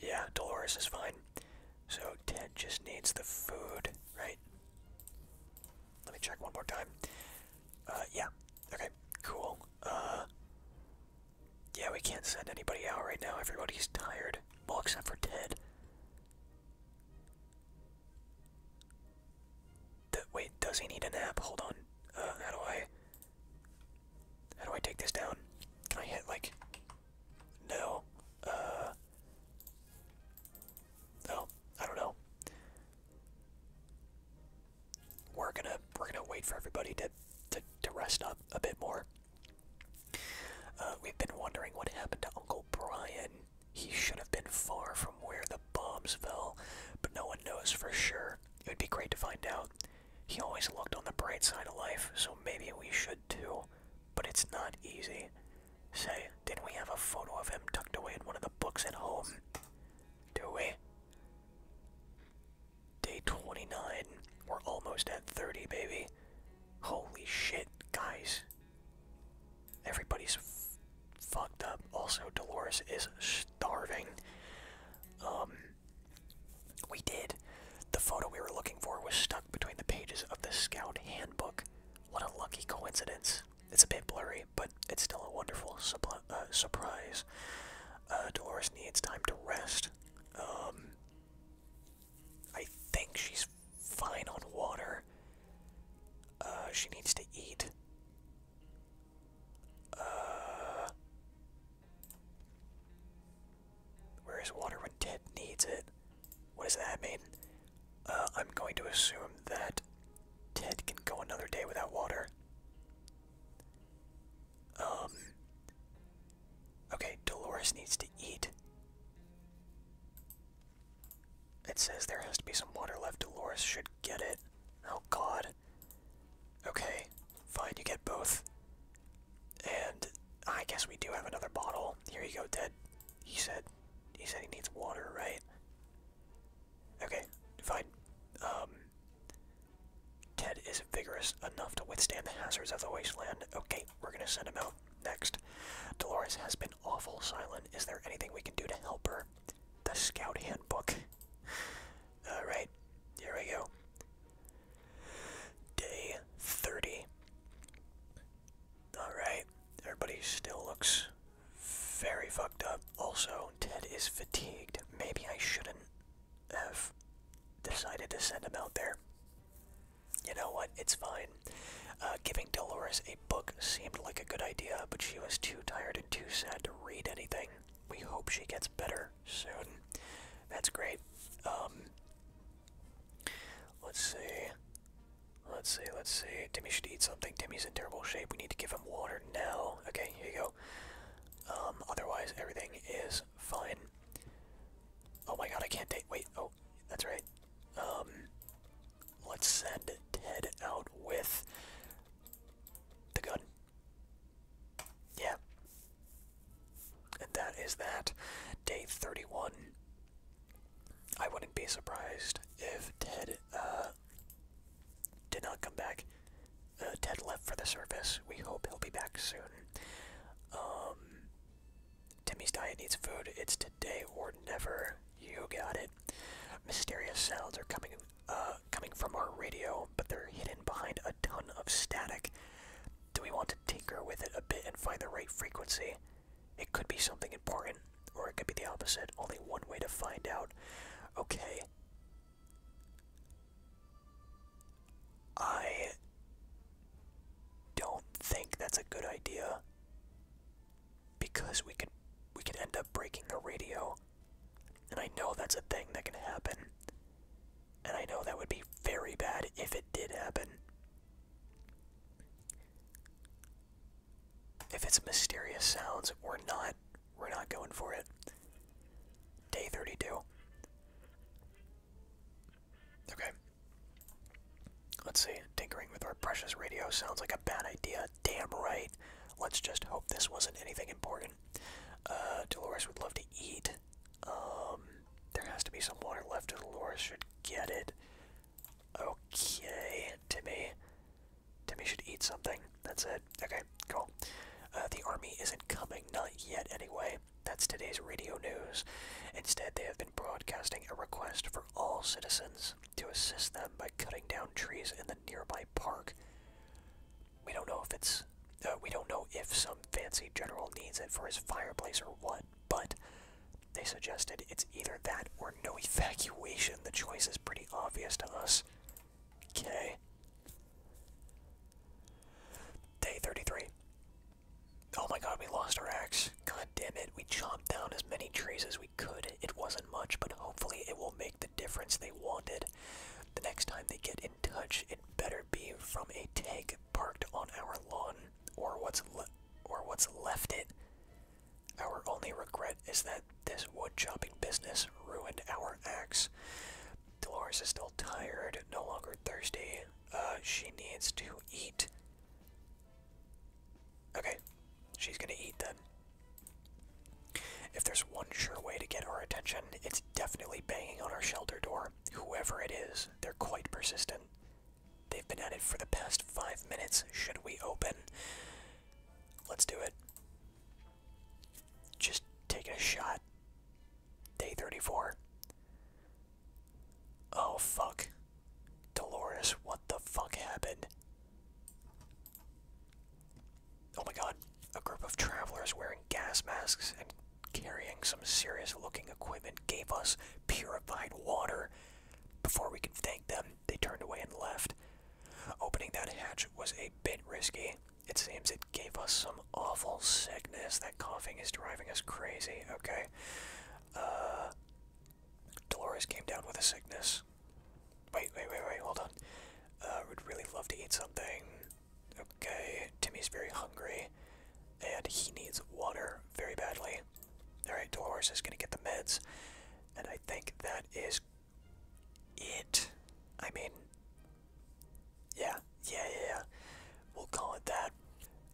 yeah, Dolores is fine. So Ted just needs the food, right? Let me check one more time. Uh, yeah, okay, cool. Uh, yeah, we can't send anybody out right now. Everybody's tired. Well, except for Ted wait, does he need a nap? Hold on. Uh, how do I? How do I take this down? Can I hit like? No. Uh. No, I don't know. We're gonna we're gonna wait for everybody to to to rest up a bit more. Uh, we've been wondering what happened to Uncle Brian. He should have been far from where the bombs fell, but no one knows for sure. It would be great to find out. He always looked on the bright side of life, so maybe we should too. But it's not easy. Say, did we have a photo of him tucked away in one of the books at home? Do we? Day 29. We're almost at 30, baby. Holy shit, guys everybody's fucked up. Also, Dolores is starving. Um, we did. The photo we were looking for was stuck between the pages of the Scout Handbook. What a lucky coincidence. It's a bit blurry, but it's still a wonderful uh, surprise. Uh, Dolores needs time to rest. Um, I think she's fine on water. Uh, she needs to eat. Uh, where is water when Ted needs it? What does that mean? Uh, I'm going to assume that Ted can go another day without water. Um, okay, Dolores needs to eat. It says there has to be some water left. Dolores should get it. Oh god. Okay, fine, you get both. And I guess we do have another bottle. Here you go, Ted. He said he said he needs water, right? Okay, fine. Um Ted is vigorous enough to withstand the hazards of the wasteland. Okay, we're gonna send him out next. Dolores has been awful silent. Is there anything we can do to help her? The Scout Handbook. Alright, here we go. Day 30. Alright, everybody still looks very fucked up. Also, Ted is fatigued. Maybe I shouldn't have decided to send him out there. You know what? It's fine. Uh, giving Dolores a book seemed like a good idea, but she was too tired and too sad to read anything. We hope she gets better soon. That's great. Um, let's see. Let's see, let's see. Timmy should eat something. Timmy's in terrible shape. We need to give him water now. Okay, here you go. Um, otherwise, everything is fine. Oh my god, I can't take. Wait, oh, that's right. Um, Let's send Ted out with the gun. Yeah. And that is that. Day 31. I wouldn't be surprised if Ted uh, did not come back. Uh, Ted left for the surface. We hope he'll be back soon. Um, Timmy's diet needs food. It's today or never. You got it. Mysterious sounds are coming, uh, coming from our radio, but they're hidden behind a ton of static. Do we want to tinker with it a bit and find the right frequency? It could be something important, or it could be the opposite. Only one way to find out. Okay. I don't think that's a good idea because we could we could end up breaking the radio. And I know that's a thing that can happen. And I know that would be very bad if it did happen. If it's mysterious sounds, we're not we're not going for it. Day 32. Okay, Let's see, tinkering with our precious radio sounds like a bad idea. Damn right. Let's just hope this wasn't anything important. Uh, Dolores would love to eat. Um, there has to be some water left. Dolores should get it. Okay, Timmy. Timmy should eat something. That's it. Okay, cool. Uh, the army isn't coming, not yet anyway. That's today's radio news. Instead, they have been broadcasting a request for all citizens to assist them by cutting down trees in the nearby park. We don't know if it's. Uh, we don't know if some fancy general needs it for his fireplace or what, but they suggested it's either that or no evacuation. The choice is pretty obvious to us. Okay. Day 33. Oh my god, we lost our axe. God damn it, we chopped down as many trees as we could. It wasn't much, but hopefully it will make the difference they wanted. The next time they get in touch, it better be from a tank parked on our lawn, or what's le or what's left it. Our only regret is that this wood chopping business ruined our axe. Dolores is still tired, no longer thirsty. Uh, she needs to eat. Okay, she's gonna eat then. If there's one sure way to get our attention, it's definitely banging on our shelter door. Whoever it is, they're quite persistent. They've been at it for the past five minutes. Should we open? Let's do it. Just take a shot. Day 34. Oh, fuck. Dolores, what the fuck happened? Oh my god, a group of travelers wearing gas masks and carrying some serious looking equipment gave us purified water. Before we could thank them, they turned away and left. Opening that hatch was a bit risky. It seems it gave us some awful sickness. That coughing is driving us crazy, okay? Uh, Dolores came down with a sickness. Wait, wait, wait, wait, hold on. I uh, would really love to eat something. Okay, Timmy's very hungry, and he needs water very badly. Alright, Dolores is gonna get the meds, and I think that is it. I mean, yeah, yeah, yeah. We'll call it that.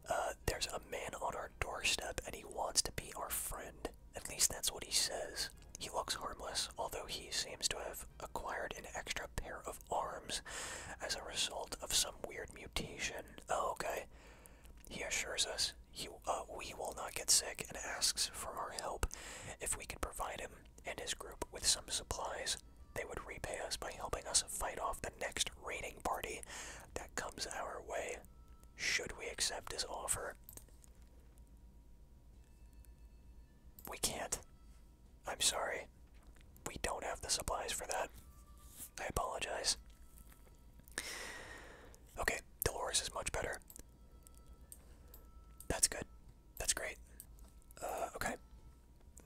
Uh, there's a man on our doorstep and he wants to be our friend. At least that's what he says. He looks harmless, although he seems to have acquired an extra pair of arms as a result of some weird mutation. Oh, okay. He assures us he, uh, we will not get sick and asks for our help. If we could provide him and his group with some supplies, they would repay us by helping us fight off the next raiding party that comes our way. Should we accept his offer? We can't. I'm sorry. We don't have the supplies for that. I apologize. Okay, Dolores is much better. That's good. That's great. Uh, okay.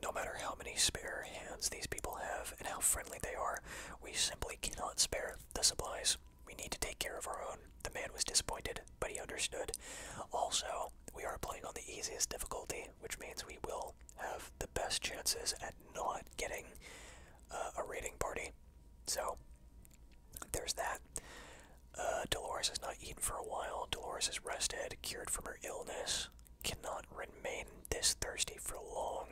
No matter how many spare hands these people have and how friendly they are, we simply cannot spare the supplies. We need to take care of our own. The man was disappointed, but he understood. Also, we are playing on the easiest difficulty, which means we will have the best chances at not getting uh, a raiding party. So, there's that. Uh, Dolores has not eaten for a while. Dolores is rested, cured from her illness, cannot remain this thirsty for long.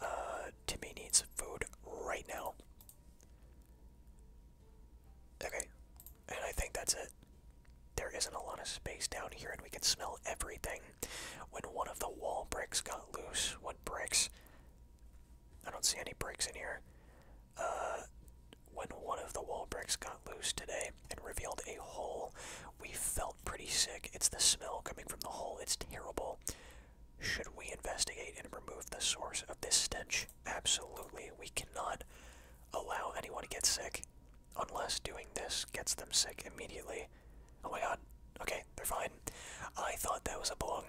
Uh, Timmy needs food right now. Okay, and I think that's it. There isn't a lot of space down here, and we can smell everything. When one of the wall bricks got loose, what bricks? I don't see any bricks in here. Uh, when one of the wall bricks got loose today and revealed a hole, we felt pretty sick. It's the smell coming from the hole, it's terrible. Should we investigate and remove the source of this stench? Absolutely. We cannot allow anyone to get sick unless doing this gets them sick immediately. Oh my god. Okay, they're fine. I thought that was a bong.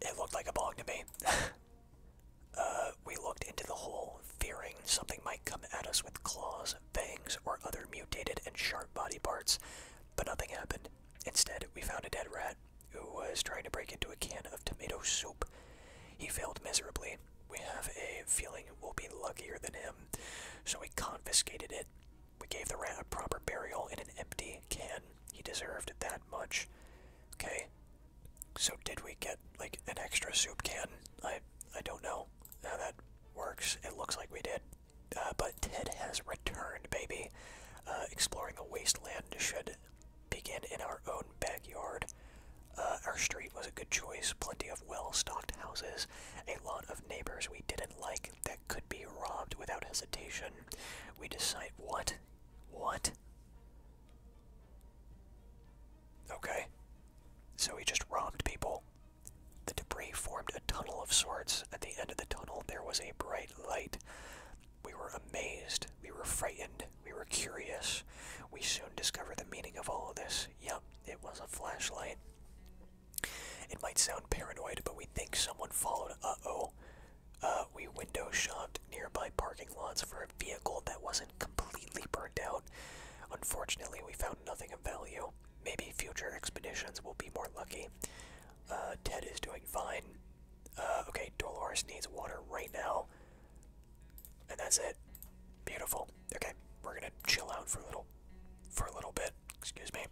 It looked like a bong to me. Uh, we looked into the hole, fearing something might come at us with claws, fangs, or other mutated and sharp body parts. But nothing happened. Instead, we found a dead rat who was trying to break into a can of tomato soup. He failed miserably. We have a feeling we'll be luckier than him, so we confiscated it. We gave the rat a proper burial in an empty can. He deserved that much. Okay. So did we get like an extra soup can? I I don't know how that works. It looks like we did. Uh, but Ted has returned, baby. Uh, exploring the wasteland should begin in our own backyard. Uh, our street was a good choice, plenty of well stocked houses, a lot of neighbors we didn't like that could be robbed without hesitation. We decide. What? What? Okay. So we just robbed people. The debris formed a tunnel of sorts. At the end of the tunnel, there was a bright light. We were amazed. We were frightened. We were curious. We soon discovered the meaning of all of this. Yep, it was a flashlight. It might sound paranoid, but we think someone followed Uh-oh. Uh, we window shopped nearby parking lots for a vehicle that wasn't completely burned out. Unfortunately, we found nothing of value. Maybe future expeditions will be more lucky. Uh, Ted is doing fine. Uh, okay, Dolores needs water right now. And that's it. Beautiful. Okay, we're gonna chill out for a little, for a little bit. Excuse me.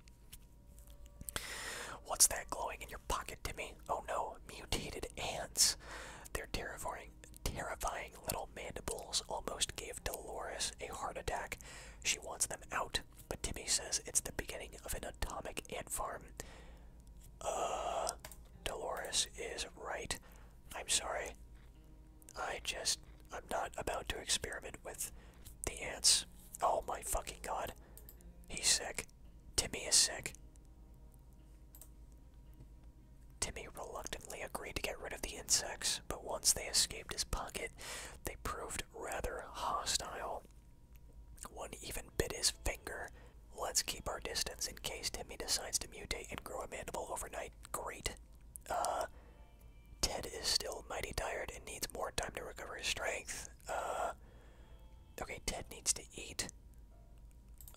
What's that glowing in your pocket, Timmy? Oh no, mutated ants. Their terrifying, terrifying little mandibles almost gave Dolores a heart attack. She wants them out. But Timmy says it's the beginning of an atomic ant farm. Uh, Dolores is right. I'm sorry. I just. I'm not about to experiment with the ants. Oh my fucking god. He's sick. Timmy is sick. Timmy reluctantly agreed to get rid of the insects but once they escaped his pocket, they proved rather hostile. One even bit his finger. Let's keep our distance in case Timmy decides to mutate and grow a mandible overnight. Great. Uh, Ted is still mighty tired and needs more time to recover his strength. Uh, okay, Ted needs to eat.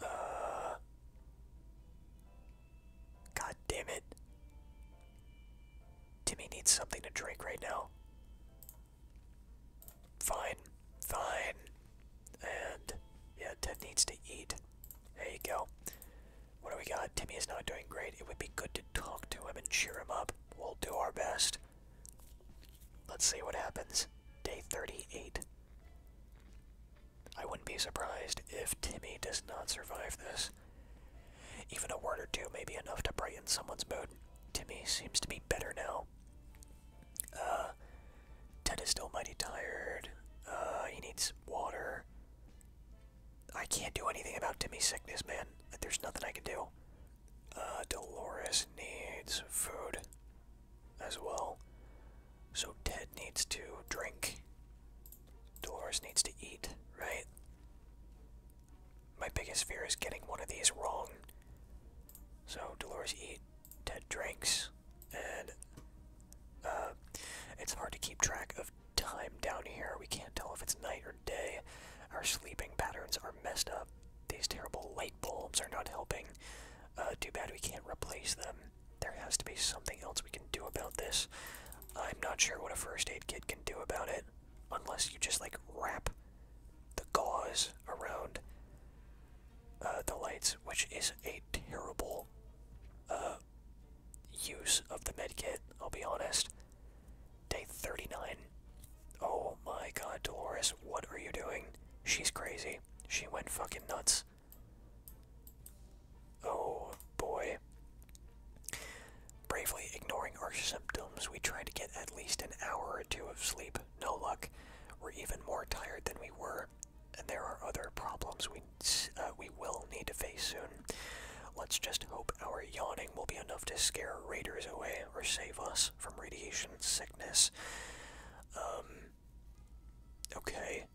Uh, God damn it. Timmy needs something to drink right now. Fine, fine. And yeah, Ted needs to eat. There you go. What do we got? Timmy is not doing great. It would be good to talk to him and cheer him up. We'll do our best. Let's see what happens. Day 38. I wouldn't be surprised if Timmy does not survive this. Even a word or two may be enough to brighten someone's mood. Timmy seems to be better now. Uh, Ted is still mighty tired. Uh, he needs water. I can't do anything about Timmy's sickness, man. There's nothing I can do. Uh, Dolores needs food as well. So Ted needs to drink. Dolores needs to eat, right? My biggest fear is getting one of these wrong. So Dolores eat, Ted drinks, and uh, it's hard to keep track of time down here. We can't tell if it's night or day. Our sleeping patterns are messed up. These terrible light bulbs are not helping. Uh, too bad we can't replace them. There has to be something else we can do about this. I'm not sure what a first aid kit can do about it unless you just like wrap the gauze around uh, the lights, which is a terrible uh, use of the medkit, I'll be honest. Day 39. Oh my god, Dolores, what are you doing? She's crazy. She went fucking nuts. Oh boy. Bravely ignoring our symptoms, we tried to get at least an hour or two of sleep. No luck. We're even more tired than we were, and there are other problems we uh, we will need to face soon. Let's just hope our yawning will be enough to scare raiders away or save us from radiation sickness. Um. Okay.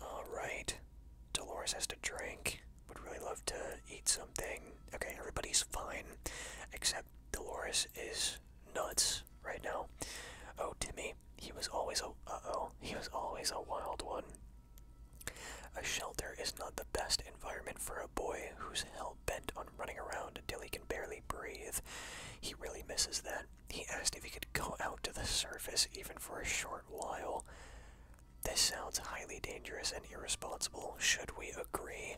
All right. Dolores has to drink. Would really love to eat something. Okay, everybody's fine, except Dolores is nuts right now. Oh, Timmy, he was always a uh oh, he was always a wild one. A shelter is not the best environment for a boy who's hell bent on running around until he can barely breathe. He really misses that. He asked if he could go out to the surface even for a short while. This sounds highly dangerous and irresponsible. Should we agree?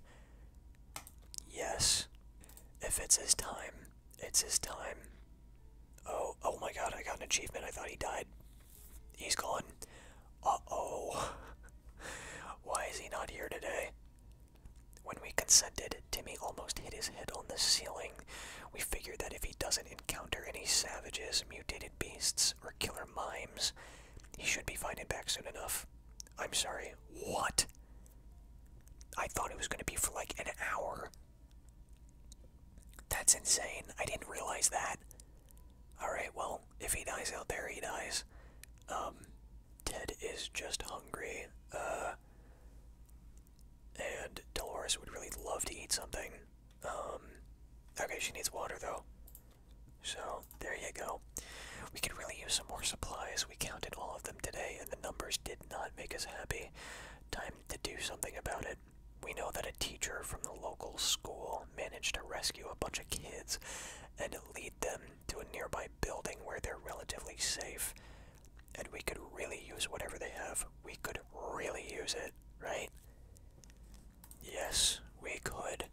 Yes. If it's his time, it's his time. Oh, oh my god, I got an achievement. I thought he died. He's gone. Uh-oh. Why is he not here today? When we consented, Timmy almost hit his head on the ceiling. We figured that if he doesn't encounter any savages, mutated beasts, or killer mimes. He should be finding back soon enough. I'm sorry. What? I thought it was going to be for like an hour. That's insane. I didn't realize that. Alright, well, if he dies out there, he dies. Um, Ted is just hungry. Uh, and Dolores would really love to eat something. Um, okay, she needs water though. So there you go. We could really use some more supplies. We counted all of them today, and the numbers did not make us happy. Time to do something about it. We know that a teacher from the local school managed to rescue a bunch of kids and lead them to a nearby building where they're relatively safe. And we could really use whatever they have. We could really use it, right? Yes, we could.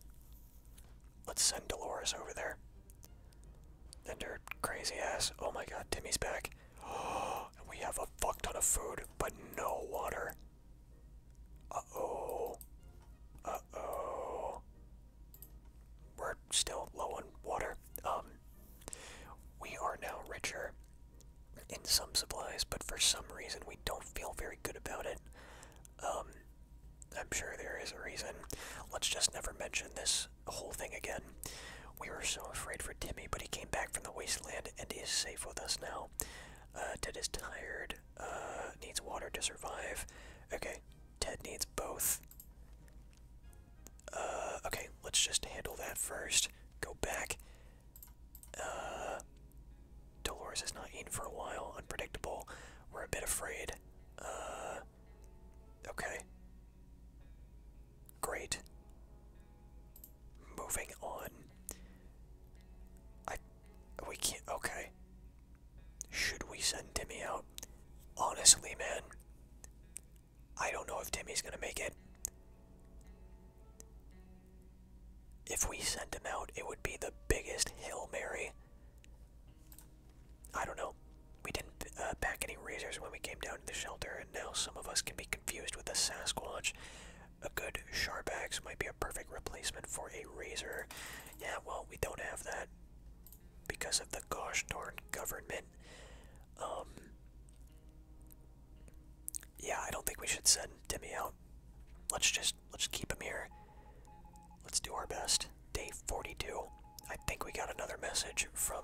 Let's send Dolores over there. Then her crazy ass. Oh my god, Timmy's back. and we have a fuck ton of food, but no water. Uh-oh. Uh-oh. We're still low on water. Um, we are now richer in some supplies, but for some reason we don't feel very good about it. Um, I'm sure there is a reason. Let's just never mention this whole thing again. We were so afraid for Timmy, but he came back from the wasteland and he is safe with us now. Uh, Ted is tired, uh, needs water to survive. Okay, Ted needs both. Uh, okay, let's just handle that first. Go back, uh, Dolores is not in for a while. Unpredictable. We're a bit afraid. Uh, okay. Great. Moving on. I. We can't. Okay. Should we send Timmy out? Honestly, man. I don't know if Timmy's gonna make it. If we sent him out, it would be the biggest Hail Mary. I don't know. We didn't uh, pack any razors when we came down to the shelter, and now some of us can be confused with a Sasquatch. A good sharp axe might be a perfect replacement for a razor. Yeah, well, we don't have that because of the gosh darn government. Um, yeah, I don't think we should send Demi out. Let's just let's keep him here. Let's do our best. Day 42. I think we got another message from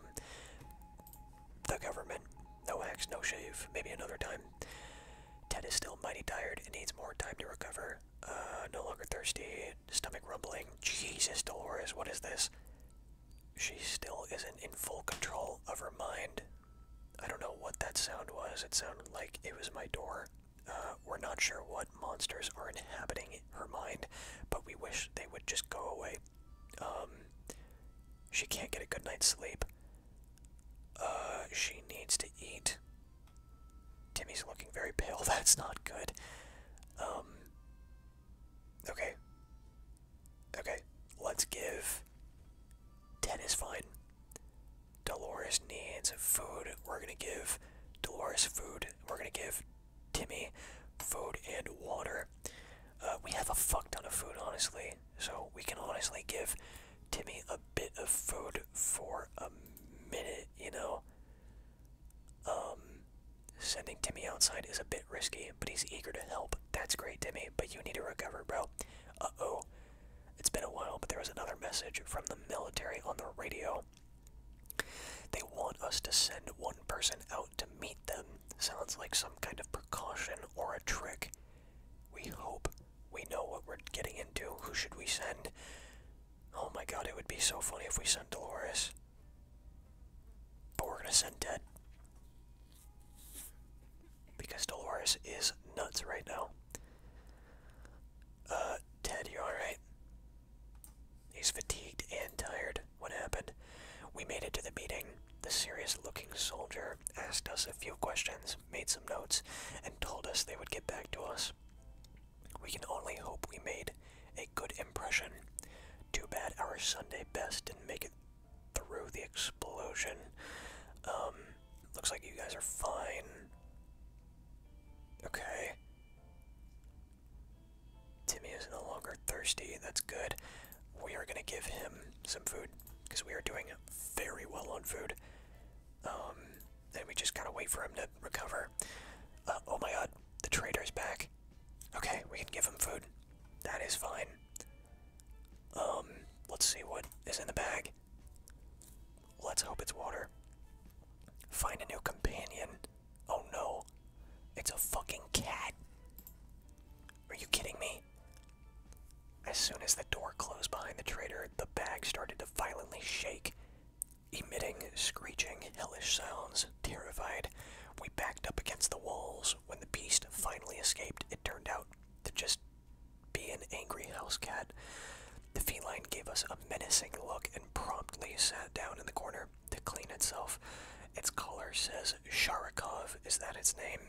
the government. No axe, no shave. Maybe another time. Ted is still mighty tired and needs more time to recover. Uh, no longer thirsty. Stomach rumbling. Jesus, Dolores, what is this? She still isn't in full control of her mind. I don't know what that sound was. It sounded like it was my door. Uh, we're not sure what monsters are inhabiting her mind, but we wish they would just go away. Um, she can't get a good night's sleep. Uh, she needs to eat. Timmy's looking very pale. That's not good. Um, okay. Okay, let's give. 10 is fine. Dolores needs food. We're gonna give Dolores food. We're gonna give Timmy food and water. Uh, we have a fuck ton of food, honestly. So we can honestly give Timmy a bit of food for a minute, you know. Um, sending Timmy outside is a bit risky, but he's eager to help. That's great, Timmy, but you need to recover, bro. Uh oh. It's been a while, but there was another message from the military on the radio. They want us to send one person out to meet them. Sounds like some kind of precaution or a trick. We hope we know what we're getting into. Who should we send? Oh my god, it would be so funny if we sent Dolores. But we're gonna send Ted. Because Dolores is nuts right now. Uh, Ted, you alright? He's fatigued and tired. What happened? We made it to the meeting. The serious looking soldier asked us a few questions, made some notes, and told us they would get back to us. We can only hope we made a good impression. Too bad our Sunday best didn't make it through the explosion. Um, Looks like you guys are fine. Okay. Timmy is no longer thirsty. That's good. We are going to give him some food because we are doing very well on food. Um, and we just gotta wait for him to recover. Uh, oh my god, the is back. Okay, we can give him food. That is fine. Um, let's see what is in the bag. Let's hope it's water. Find a new companion. Oh no. It's a fucking cat. Are you kidding me? As soon as the door closed behind the traitor, the bag started to violently shake, emitting screeching, hellish sounds. Terrified, we backed up against the walls. When the beast finally escaped, it turned out to just be an angry house cat. The feline gave us a menacing look and promptly sat down in the corner to clean itself. Its collar says Sharikov, is that its name?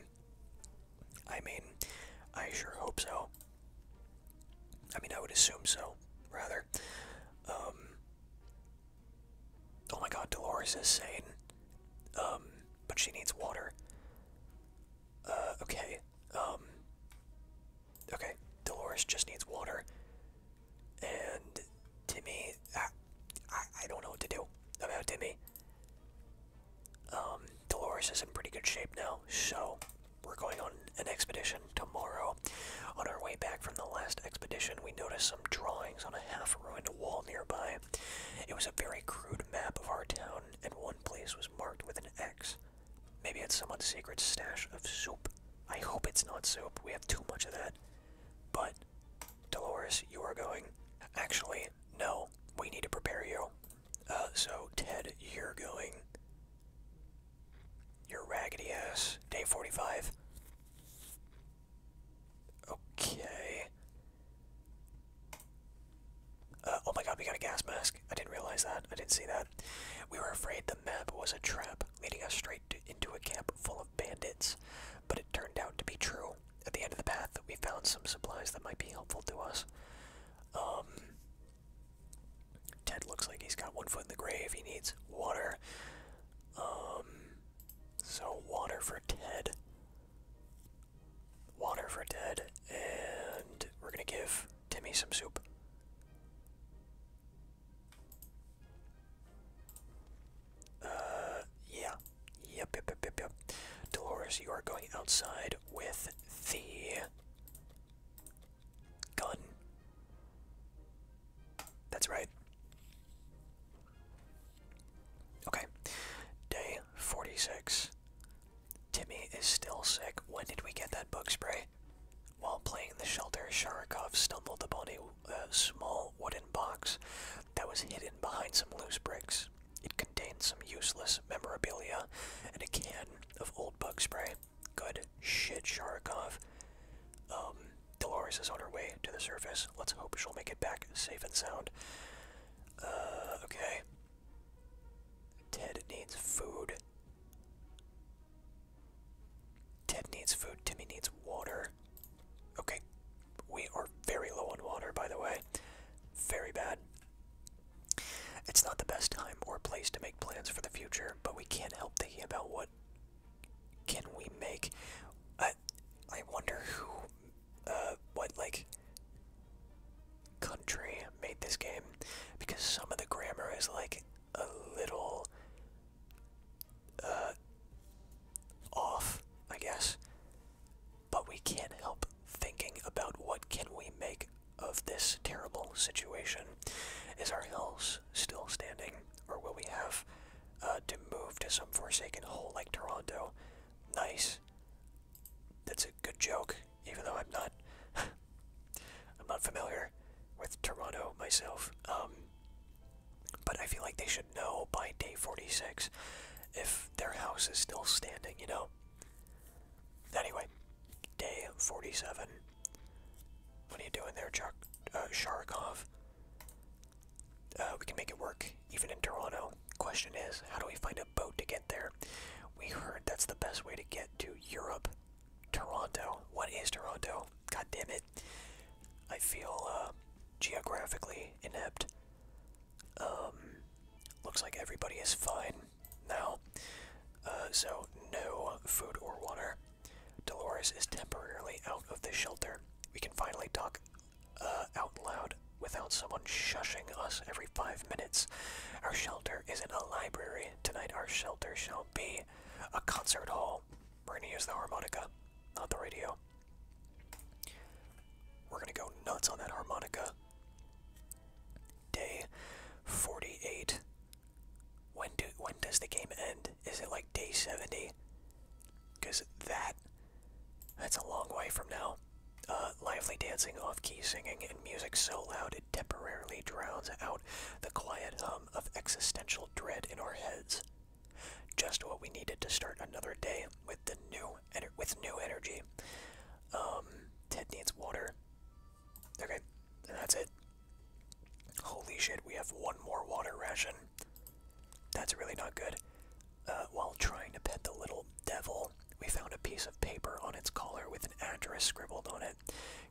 I mean, I sure hope so. I mean, I would assume so, rather. Um, oh my god, Dolores is sane. Um, but she needs water. Uh, okay. Um, okay, Dolores just needs water. And Timmy, I, I, don't know what to do about Timmy. Um, Dolores is in pretty good shape now, so we're going on an expedition tomorrow. On our way back from the last expedition, we noticed some drawings on a half ruined wall nearby. It was a very crude map of our town, and one place was marked with an X. Maybe it's someone's secret stash of soup. I hope it's not soup. We have too much of that. But, Dolores, you are going. Actually, no. We need to prepare you. Uh, so, Ted, you're going. Your raggedy ass. Day 45. Okay. Uh, oh my god, we got a gas mask. I didn't realize that. I didn't see that. We were afraid the map was a trap, leading us straight into a camp full of bandits, but it turned out to be true. At the end of the path, we found some supplies that might be helpful to us. Um, Ted looks like he's got one foot in the grave. He needs water. Um, so water for Ted. Water for Ted, and we're gonna give Give me some soup. Uh, yeah. yep, yep, yep, yep. Dolores, you are going outside with the gun. That's right. Okay. Day 46. Timmy is still sick. When did we get that bug spray? While playing the shelter, Sharikov stumbled upon a small wooden box that was hidden behind some loose bricks. It contained some useless memorabilia and a can of old bug spray. Good shit, Sharikov. Um, Dolores is on her way to the surface. Let's hope she'll make it back safe and sound. Uh, okay. Ted needs food. Ted needs food. Timmy needs water. Okay. We are very low on water, by the way. Very bad. It's not the best time or place to make plans for the future, but we can't help thinking about what can we make. I, I wonder who, uh, what like country made this game because some of the grammar is like a little uh, off, I guess. But we can't help thinking about what can we make of this terrible situation. Is our house still standing, or will we have uh, to move to some forsaken hole like Toronto? Nice. That's a good joke even though I'm not I'm not familiar with Toronto myself. Um, but I feel like they should know by day 46 if their house is still standing, you know? Anyway, day 47. What are you doing there, Chuck? Uh, Sharkov? Uh, we can make it work, even in Toronto. Question is, how do we find boat to get there. We heard that's the best way to get to Europe. Toronto. What is Toronto? God damn it. I feel uh, geographically inept. Um, looks like everybody is fine now. Uh, so, no food or water. Dolores is temporarily out of the shelter. We can finally talk uh, out loud without someone shushing us every five minutes. Our shelter is in a library. Tonight, our shelter shall be a concert hall. We're gonna use the harmonica, not the radio. We're gonna go nuts on that harmonica. Day 48. When do when does the game end? Is it like day 70? Because that that's a long way from now. Uh, lively dancing, off-key singing, and music so loud it temporarily drowns out the quiet hum of existential dread in our heads. Just what we needed to start another day with the new with new energy. Um, Ted needs water. Okay, that's it. Holy shit, we have one more water ration. That's really not good. Uh, while trying to pet the little devil we found a piece of paper on its collar with an address scribbled on it.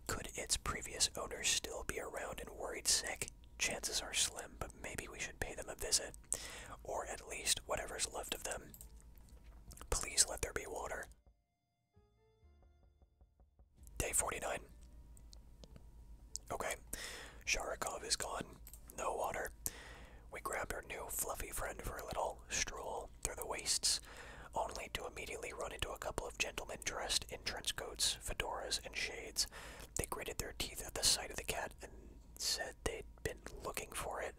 Could its previous owner still be around and worried sick? Chances are slim, but maybe we should pay them a visit. Or at least whatever's left of them. Please let there be water. Day 49. Okay. Sharikov is gone. No water. We grabbed our new fluffy friend for a little stroll through the wastes, only to immediately run into a couple of gentlemen dressed in trench coats, fedoras, and shades. They gritted their teeth at the sight of the cat and said they'd been looking for it.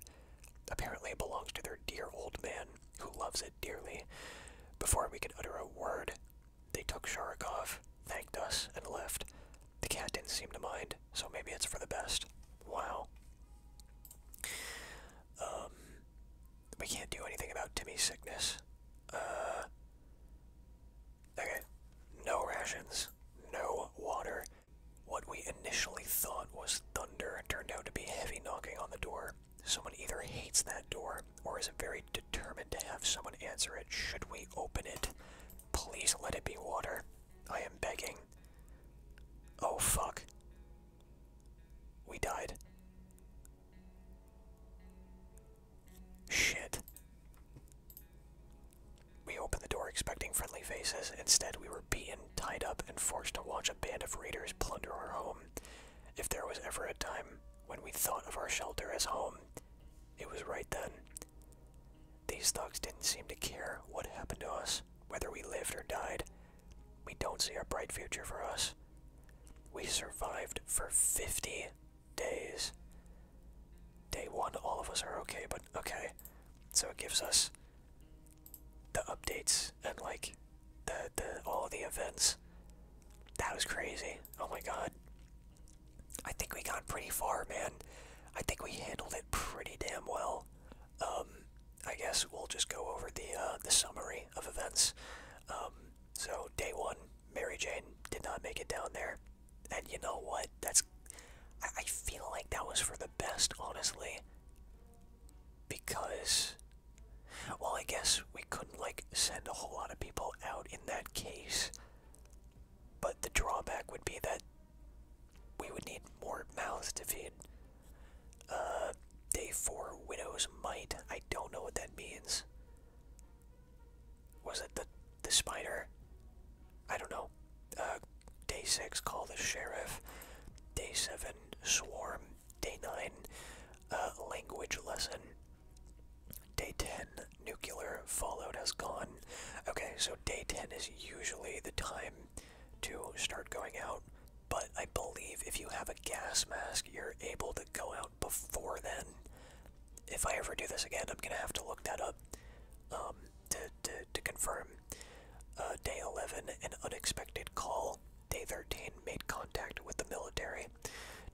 Apparently, it belongs to their dear old man, who loves it dearly. Before we could utter a word, they took Sharikov, thanked us, and left. The cat didn't seem to mind, so maybe it's for the best. Wow we um, can't do anything about Timmy's sickness. Uh, okay, no rations, no water. What we initially thought was thunder turned out to be heavy knocking on the door. Someone either hates that door or is very determined to have someone answer it. Should we open it? Please let it be water. I am begging. Oh fuck. We died. Shit. We opened the door expecting friendly faces. Instead, we were beaten, tied up, and forced to watch a band of raiders plunder our home. If there was ever a time when we thought of our shelter as home, it was right then. These thugs didn't seem to care what happened to us, whether we lived or died. We don't see a bright future for us. We survived for 50 days. Day one, all of us are okay, but okay. So it gives us the updates and like the, all the events. That was crazy. Oh my god. I think we got pretty far, man. I think we handled it pretty damn well um, I guess we'll just go over the uh, the summary of events. Um, so day one, Mary Jane did not make it down there, and you know what? That's I feel like that was for the best, honestly, because well, I guess we couldn't like send a whole lot of people out in that case. But the drawback would be that we would need more mouths to feed. Uh, day four, Widow's Might. I don't know what that means. Was it the the spider? I don't know. Uh, day six, call the sheriff. Day seven, swarm. Day nine, uh, language lesson. Day ten, nuclear fallout has gone. Okay, so day ten is usually the time to start going out, but I believe if you have a gas mask, you're able to go out before then. If I ever do this again, I'm gonna have to look that up um, to, to, to confirm. Uh, day 11, an unexpected call. Day 13, made contact with the military.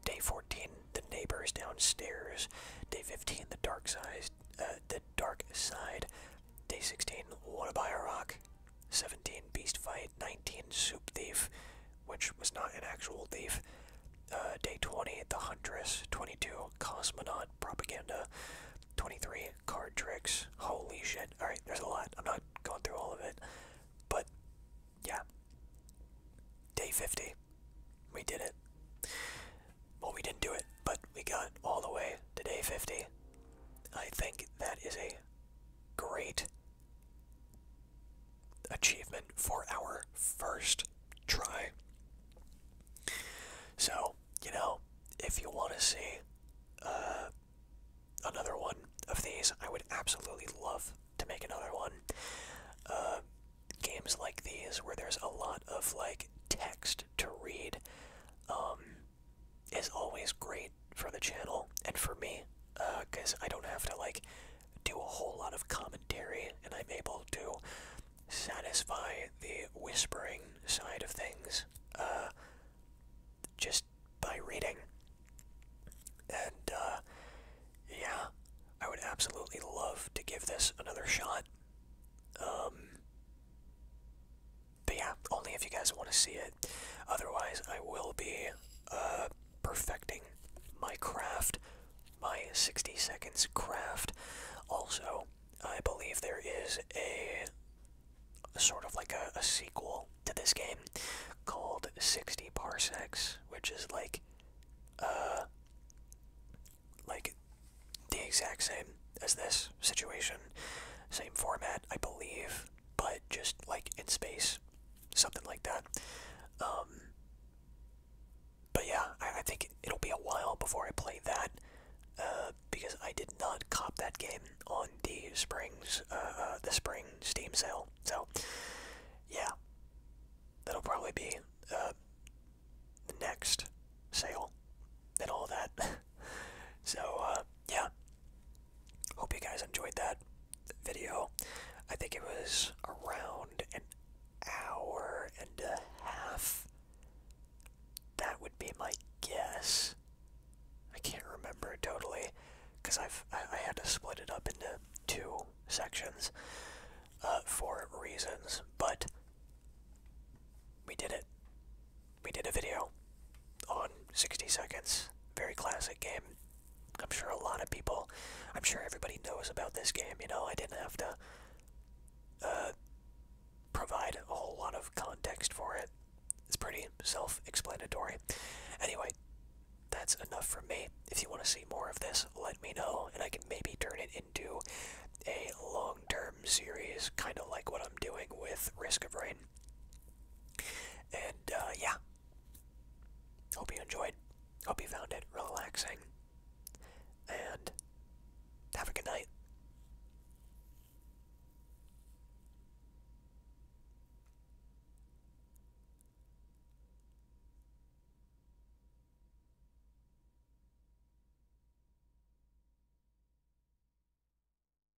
Day 14, the neighbors downstairs. Day 15, the dark side. Uh, the dark side Day 16, Wanna a Rock. 17, Beast Fight. 19, Soup Thief, which was not an actual thief. Uh, day 20, The Huntress. 22, Cosmonaut Propaganda. 23, Card Tricks. Holy shit. Alright, there's a lot. I'm not going through all of it. But, yeah. Day 50. We did it. Well, we didn't do it, but we got all the way to day 50. I think that is a great achievement for our first try. So, you know, if you want to see uh, another one of these, I would absolutely love to make another one. Uh, games like these, where there's a lot of like text to read, um, is always great for the channel and for me because uh, I don't have to like do a whole lot of commentary and I'm able to satisfy the whispering side of things uh, just by reading. And uh, yeah, I would absolutely love to give this another shot. Um, but yeah, only if you guys want to see it. Otherwise, I will be uh, perfecting my craft, my 60 seconds craft. Also, I believe there is a, sort of like a, a sequel to this game called 60 Parsecs, which is like, uh, like the exact same as this situation, same format, I believe but just like in space, something like that. Um, but yeah, I, think it'll be a while before I play that uh, because I did not cop that game on the springs, uh, uh, the spring Steam sale. So yeah, that'll probably be uh, the next sale and all that. so uh, yeah, Hope you guys enjoyed that video. I think it was around an hour and a half. That would be my guess. I can't remember totally because I've I, had to split it up into two sections uh, for reasons, but we did it we did a video on 60 Seconds. Very classic game. I'm sure a lot of people, I'm sure everybody knows about this game, you know, I didn't have to uh, provide a whole lot of context for it. It's pretty self-explanatory. Anyway, that's enough for me. If you want to see more of this, let me know, and I can maybe turn it into a long-term series, kind of like what I'm doing with Risk of Rain. And uh, yeah, hope you enjoyed. Hope you found it relaxing. And have a good night.